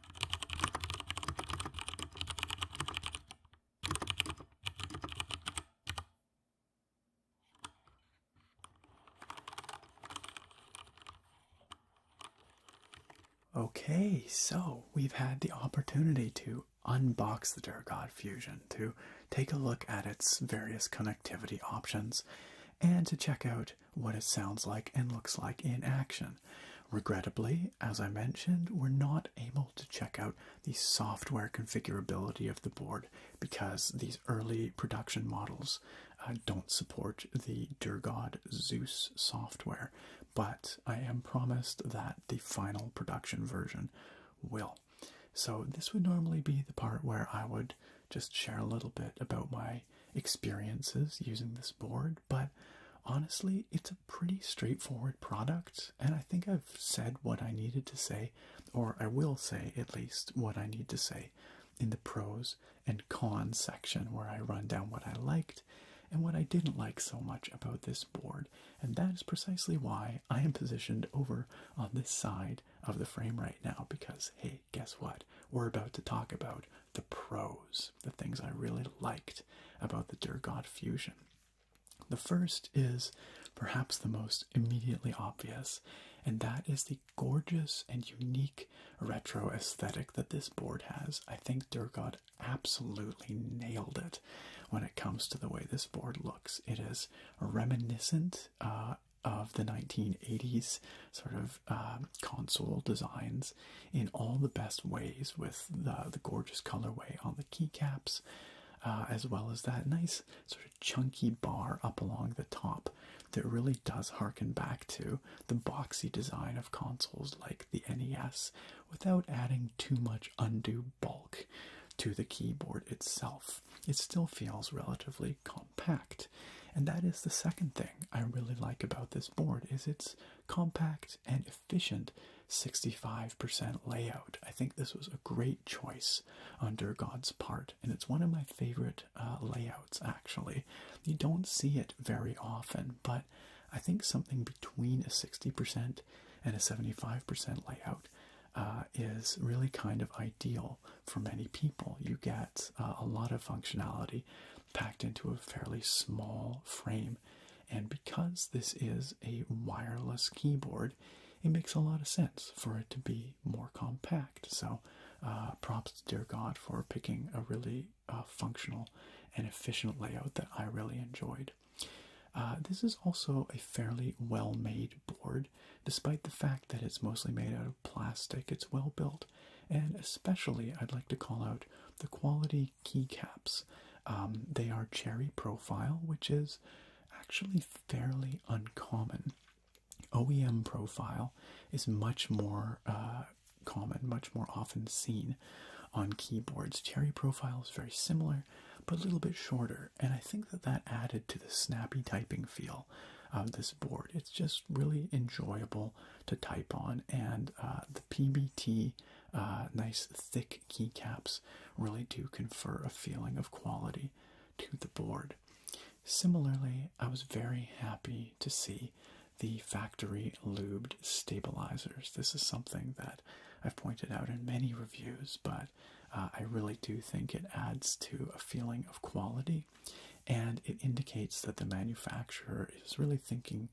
Okay, so we've had the opportunity to unbox the Duragod Fusion, to take a look at its various connectivity options, and to check out what it sounds like and looks like in action. Regrettably, as I mentioned, we're not able to check out the software configurability of the board because these early production models uh, don't support the Durgod Zeus software. But I am promised that the final production version will. So, this would normally be the part where I would just share a little bit about my experiences using this board, but honestly it's a pretty straightforward product and i think i've said what i needed to say or i will say at least what i need to say in the pros and cons section where i run down what i liked and what i didn't like so much about this board and that is precisely why i am positioned over on this side of the frame right now because hey guess what we're about to talk about the pros, the things I really liked about the Durgot Fusion. The first is perhaps the most immediately obvious, and that is the gorgeous and unique retro aesthetic that this board has. I think Durgot absolutely nailed it when it comes to the way this board looks. It is reminiscent uh, of the 1980s sort of uh, console designs in all the best ways with the, gorgeous colorway on the keycaps, uh, as well as that nice sort of chunky bar up along the top that really does harken back to the boxy design of consoles like the NES without adding too much undue bulk to the keyboard itself. It still feels relatively compact. And that is the second thing I really like about this board is it's compact and efficient 65% layout. I think this was a great choice on Durgod's part, and it's one of my favorite uh, layouts actually. You don't see it very often, but I think something between a 60% and a 75% layout uh, is really kind of ideal for many people. You get uh, a lot of functionality packed into a fairly small frame and because this is a wireless keyboard, it makes a lot of sense for it to be more compact. So, uh, props to Dear God for picking a really uh, functional and efficient layout that I really enjoyed. Uh, this is also a fairly well made board, despite the fact that it's mostly made out of plastic, it's well built. And especially, I'd like to call out the quality key keycaps. Um, they are cherry profile, which is actually fairly uncommon. OEM profile is much more uh, common, much more often seen on keyboards. Cherry profile is very similar, but a little bit shorter, and I think that that added to the snappy typing feel of this board. It's just really enjoyable to type on, and uh, the PBT uh, nice thick keycaps really do confer a feeling of quality to the board. Similarly, I was very happy to see the factory lubed stabilizers. This is something that I've pointed out in many reviews, but uh, I really do think it adds to a feeling of quality and it indicates that the manufacturer is really thinking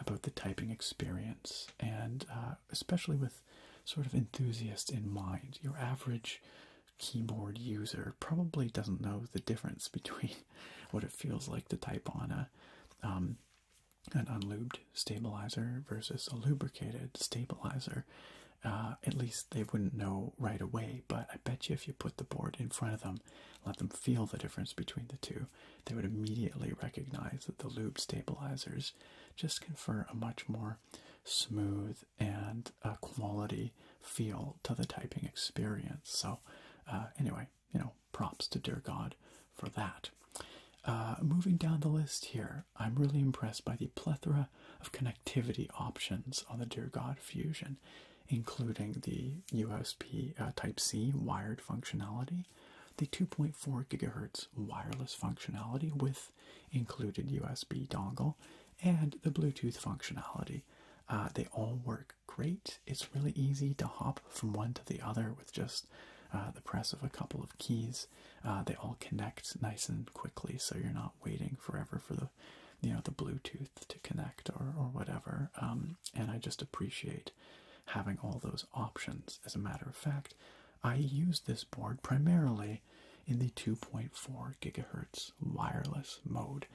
about the typing experience, and uh, especially with sort of enthusiasts in mind. Your average keyboard user probably doesn't know the difference between what it feels like to type on a um, an unlubed stabilizer versus a lubricated stabilizer. Uh, at least they wouldn't know right away, but I bet you if you put the board in front of them, let them feel the difference between the two, they would immediately recognize that the loop stabilizers just confer a much more smooth and uh, quality feel to the typing experience. So, uh, anyway, you know, props to Dear God for that. Uh, moving down the list here, I'm really impressed by the plethora of connectivity options on the Dear God Fusion, including the USB Type C wired functionality, the 2.4 gigahertz wireless functionality with included USB dongle and the Bluetooth functionality. Uh, they all work great. It's really easy to hop from one to the other with just uh, the press of a couple of keys. Uh, they all connect nice and quickly, so you're not waiting forever for the, you know, the Bluetooth to connect or whatever. Um, and I just appreciate having all those options. As a matter of fact, I use this board primarily in the 2.4 gigahertz wireless mode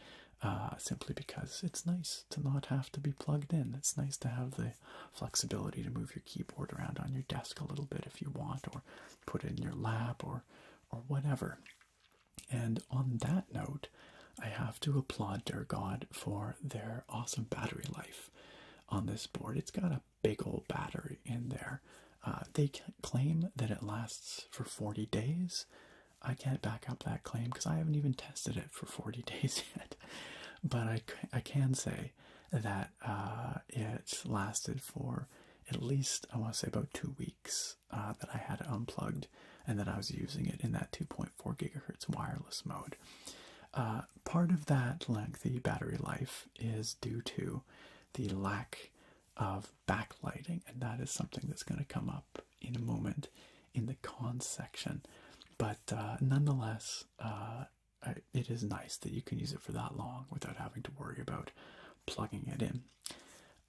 uh, simply because it's nice to not have to be plugged in. It's nice to have the flexibility to move your keyboard around on your desk a little bit if you want or put it in your lap or or whatever. And on that note, I have to applaud Dear God for their awesome battery life on this board. It's got a big old battery in there. Uh, they claim that it lasts for 40 days. I can't back up that claim because I haven't even tested it for 40 days yet. But I, I can say that uh, it lasted for at least, I want to say, about two weeks uh, that I had it unplugged and that I was using it in that 2.1 Four gigahertz wireless mode. Uh, part of that lengthy battery life is due to the lack of backlighting, and that is something that's going to come up in a moment in the cons section. But uh, nonetheless, uh, it is nice that you can use it for that long without having to worry about plugging it in.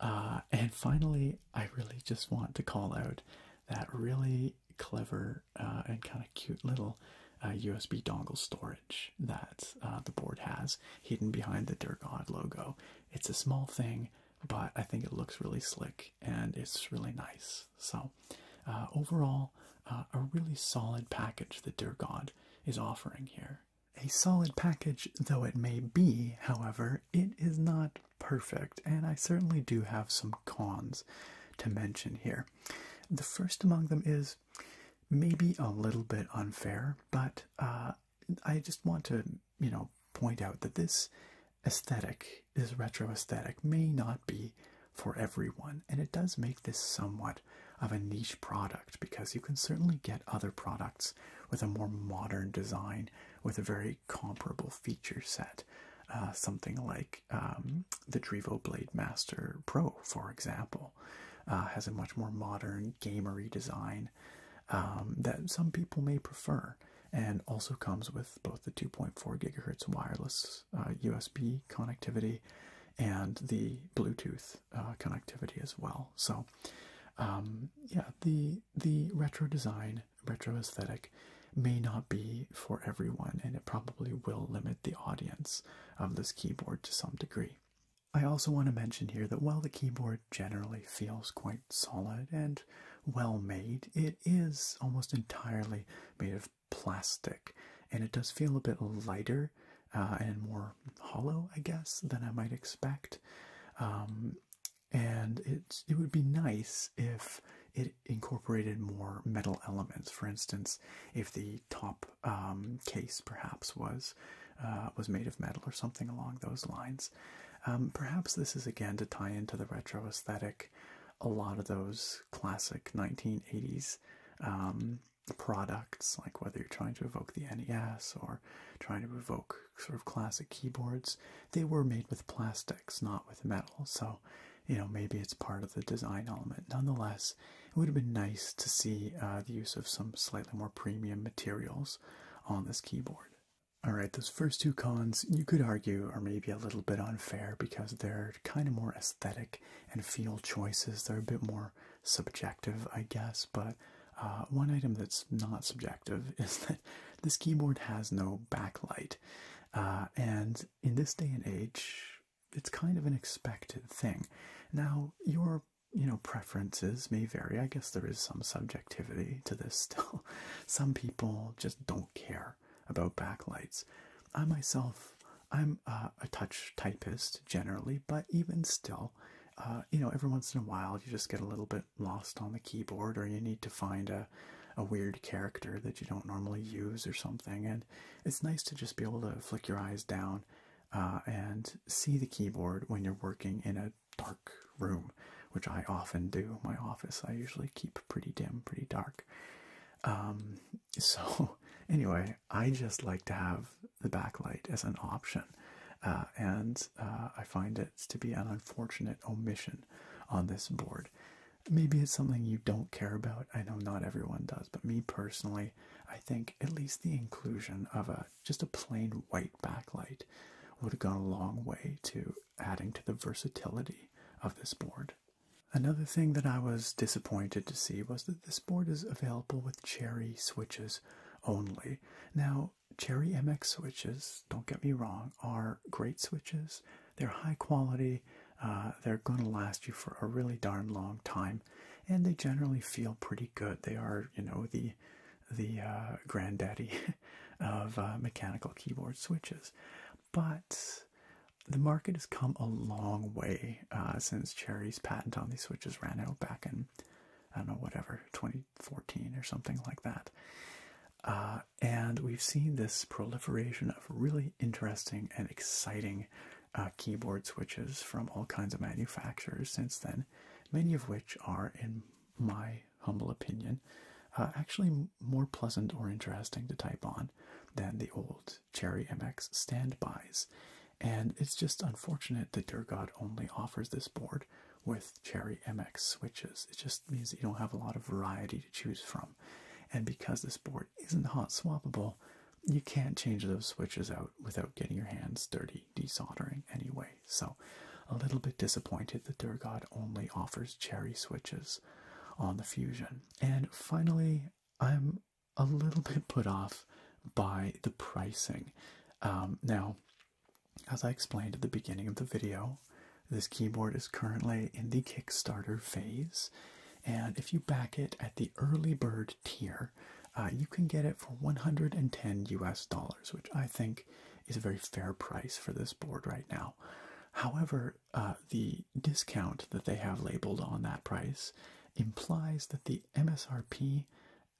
and finally, I really just want to call out that really clever uh, and kind of cute little USB uh, dongle storage that uh, the board has hidden behind the Durgod logo. It's a small thing, but I think it looks really slick and it's really nice. So, overall, a really solid package that Durgod is offering here. A solid package, though it may be, however, it is not perfect, and I certainly do have some cons to mention here. The first among them is maybe a little bit unfair, but uh, I just want to, you know, point out that this aesthetic, is retro aesthetic, may not be for everyone, and it does make this somewhat of a niche product because you can certainly get other products with a more modern design with a very comparable feature set. Uh, something like um, the Drivo Blade Master Pro, for example, uh, has a much more modern gamery design um, that some people may prefer, and also comes with both the 2.4 gigahertz wireless USB uh, connectivity and the Bluetooth uh, connectivity as well. So, um, yeah, the the retro design, retro aesthetic may not be for everyone, and it probably will limit the audience of this keyboard to some degree. I also want to mention here that while the keyboard generally feels quite solid and well made, it is almost entirely made of plastic, and it does feel a bit lighter uh, and more hollow, I guess, than I might expect. Um, and it it would be nice if it incorporated more metal elements. For instance, if the top um, case perhaps was uh, was made of metal or something along those lines, um, perhaps this is again to tie into the retro aesthetic. A lot of those classic 1980s um, products, like whether you're trying to evoke the NES or trying to evoke sort of classic keyboards, they were made with plastics, not with metal. So you know, maybe it's part of the design element. Nonetheless, it would have been nice to see uh, the use of some slightly more premium materials on this keyboard. Alright, those first two cons you could argue are maybe a little bit unfair because they're kind of more aesthetic and feel choices. They're a bit more subjective, I guess, but uh, one item that's not subjective is that this keyboard has no backlight. Uh, and in this day and age, it's kind of an expected thing. Now, your you know preferences may vary. I guess there is some subjectivity to this still. Some people just don't care about backlights. I myself, I'm uh, a touch typist generally, but even still, uh, you know, every once in a while you just get a little bit lost on the keyboard, or you need to find a a weird character that you don't normally use or something, and it's nice to just be able to flick your eyes down uh, and see the keyboard when you're working in a dark room, which I often do. My office I usually keep pretty dim, pretty dark. Um, so anyway, I just like to have the backlight as an option, uh, and uh, I find it to be an unfortunate omission on this board. Maybe it's something you don't care about. I know not everyone does, but me personally, I think at least the inclusion of a just a plain white backlight would have gone a long way to adding to the versatility of this board. Another thing that I was disappointed to see was that this board is available with Cherry switches only. Now, Cherry MX switches, don't get me wrong, are great switches. They're high quality, uh, they're going to last you for a really darn long time, and they generally feel pretty good. They are, you know, the the uh, granddaddy of uh, mechanical keyboard switches. But the market has come a long way since Cherry's patent on these switches ran out back in, I don't know, whatever, 2014 or something like that. and we've seen this proliferation of really interesting and exciting uh, keyboard switches from all kinds of manufacturers since then, many of which are, in my humble opinion, uh, actually more pleasant or interesting to type on than the old Cherry MX standbys. And it's just unfortunate that Dear only offers this board with Cherry MX switches. It just means you don't have a lot of variety to choose from. And because this board isn't hot swappable, you can't change those switches out without getting your hands dirty desoldering anyway. So, a little bit disappointed that Durgod only offers cherry switches on the Fusion. And finally, I'm a little bit put off by the pricing. Um, now, as I explained at the beginning of the video, this keyboard is currently in the Kickstarter phase. And if you back it at the early bird tier, uh, you can get it for 110 US dollars, which I think is a very fair price for this board right now. However, uh, the discount that they have labeled on that price implies that the MSRP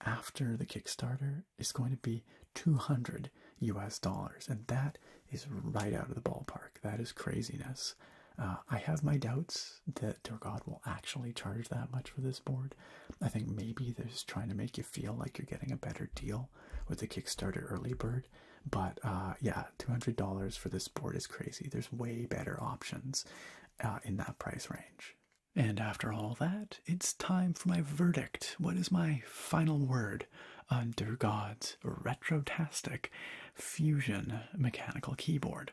after the Kickstarter is going to be 200 US dollars, and that is right out of the ballpark. That is craziness. Uh, I have my doubts that Torgod will actually charge that much for this board. I think maybe they're just trying to make you feel like you're getting a better deal with the Kickstarter early bird. But uh, yeah, $200 for this board is crazy. There's way better options uh, in that price range. And after all that, it's time for my verdict. What is my final word on Durgod's Retrotastic Fusion mechanical keyboard?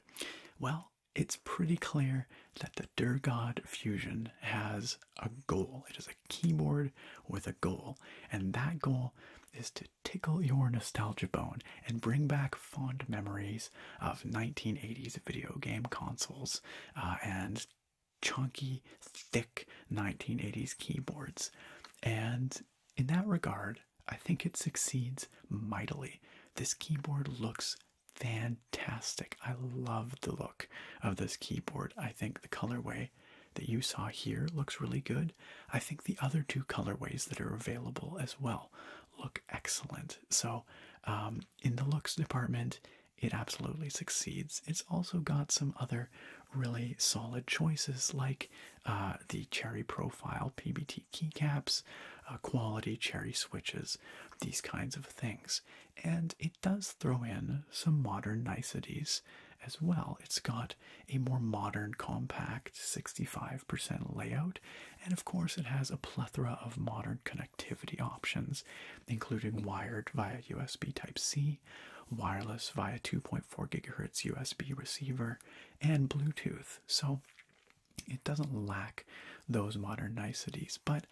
Well, it's pretty clear that the Durgod Fusion has a goal. It is a keyboard with a goal, and that goal is to tickle your nostalgia bone and bring back fond memories of 1980s video game consoles uh, and chunky, thick 1980s keyboards. And in that regard, I think it succeeds mightily. This keyboard looks fantastic. I love the look of this keyboard. I think the colorway that you saw here looks really good. I think the other two colorways that are available as well look excellent. So, um, in the looks department, it absolutely succeeds. It's also got some other really solid choices like uh, the Cherry Profile PBT keycaps, uh, quality cherry switches, these kinds of things. And it does throw in some modern niceties as well. It's got a more modern, compact 65% layout, and of course, it has a plethora of modern connectivity options, including wired via USB Type C, wireless via 2.4 GHz USB receiver, and Bluetooth. So it doesn't lack those modern niceties, but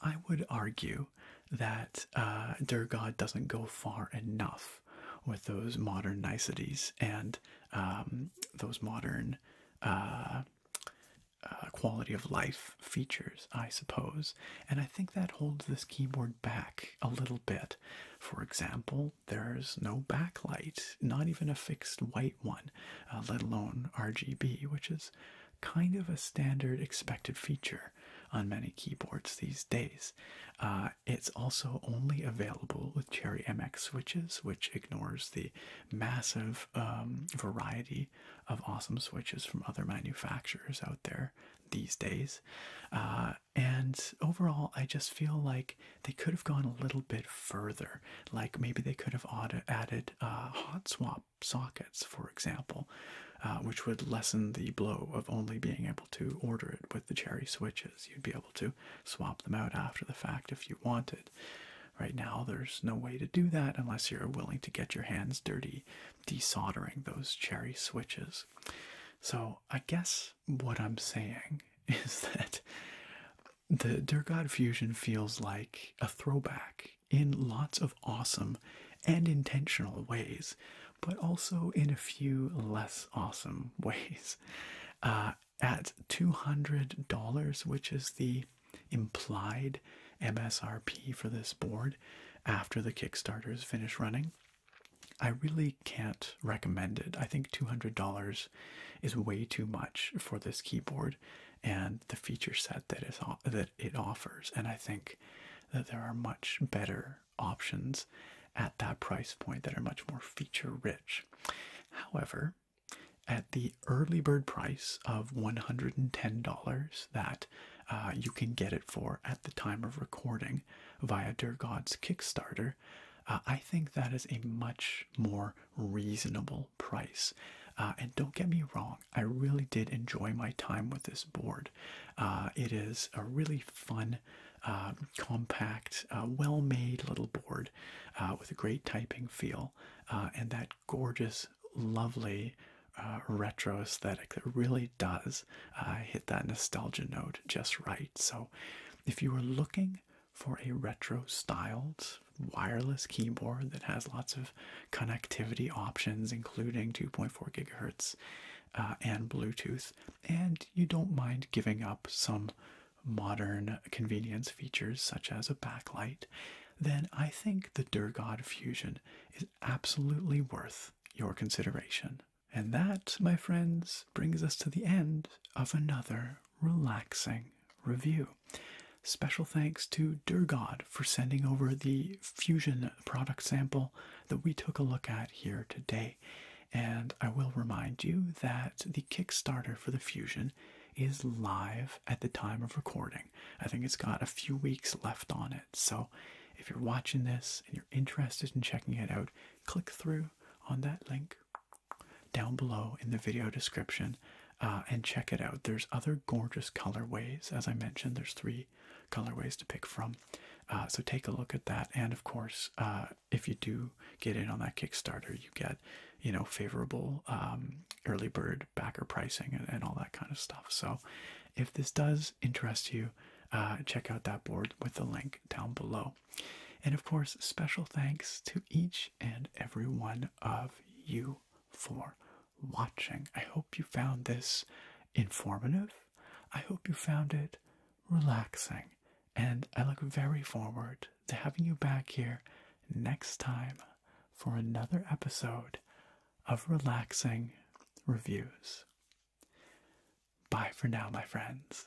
I would argue that uh, Durgod doesn't go far enough with those modern niceties and um, those modern uh, uh, quality of life features, I suppose. And I think that holds this keyboard back a little bit. For example, there's no backlight, not even a fixed white one, uh, let alone RGB, which is kind of a standard expected feature on many keyboards these days. Uh, it's also only available with Cherry MX switches, which ignores the massive um, variety of awesome switches from other manufacturers out there these days. Uh, and overall, I just feel like they could have gone a little bit further. Like maybe they could have added uh, hot swap sockets, for example, uh, which would lessen the blow of only being able to order it with the Cherry switches. You'd be able to swap them out after the fact if you wanted. Right now, there's no way to do that unless you're willing to get your hands dirty desoldering those Cherry switches. So, I guess what I'm saying is that the Dear God Fusion feels like a throwback in lots of awesome and intentional ways, but also in a few less awesome ways. Uh, at $200, which is the implied MSRP for this board after the Kickstarter is finished running, I really can't recommend it. I think $200 is way too much for this keyboard and the feature set that it offers. And I think that there are much better options at that price point that are much more feature rich. However, at the early bird price of $110 that uh, you can get it for at the time of recording via Dear Kickstarter, uh, I think that is a much more reasonable price. Uh, and don't get me wrong, I really did enjoy my time with this board. Uh, it is a really fun, compact, well made little board with a great typing feel and that gorgeous, lovely. retro aesthetic that really does hit that nostalgia note just right. So, if you are looking for a retro styled wireless keyboard that has lots of connectivity options, including 2.4 gigahertz uh, and Bluetooth, and you don't mind giving up some modern convenience features such as a backlight, then I think the Durgod Fusion is absolutely worth your consideration. And that, my friends, brings us to the end of another relaxing review. Special thanks to Durgod for sending over the Fusion product sample that we took a look at here today. And I will remind you that the Kickstarter for the Fusion is live at the time of recording. I think it's got a few weeks left on it. So if you're watching this and you're interested in checking it out, click through on that link down below in the video description uh, and check it out. There's other gorgeous colorways. As I mentioned, there's three colorways to pick from. Uh, so take a look at that. And of course, uh, if you do get in on that Kickstarter, you get, you know, favorable um, early bird backer pricing and, all that kind of stuff. So if this does interest you, check out that board with the link down below. And of course, special thanks to each and every one of you for watching. I hope you found this informative. I hope you found it relaxing. And I look very forward to having you back here next time for another episode of Relaxing Reviews. Bye for now, my friends.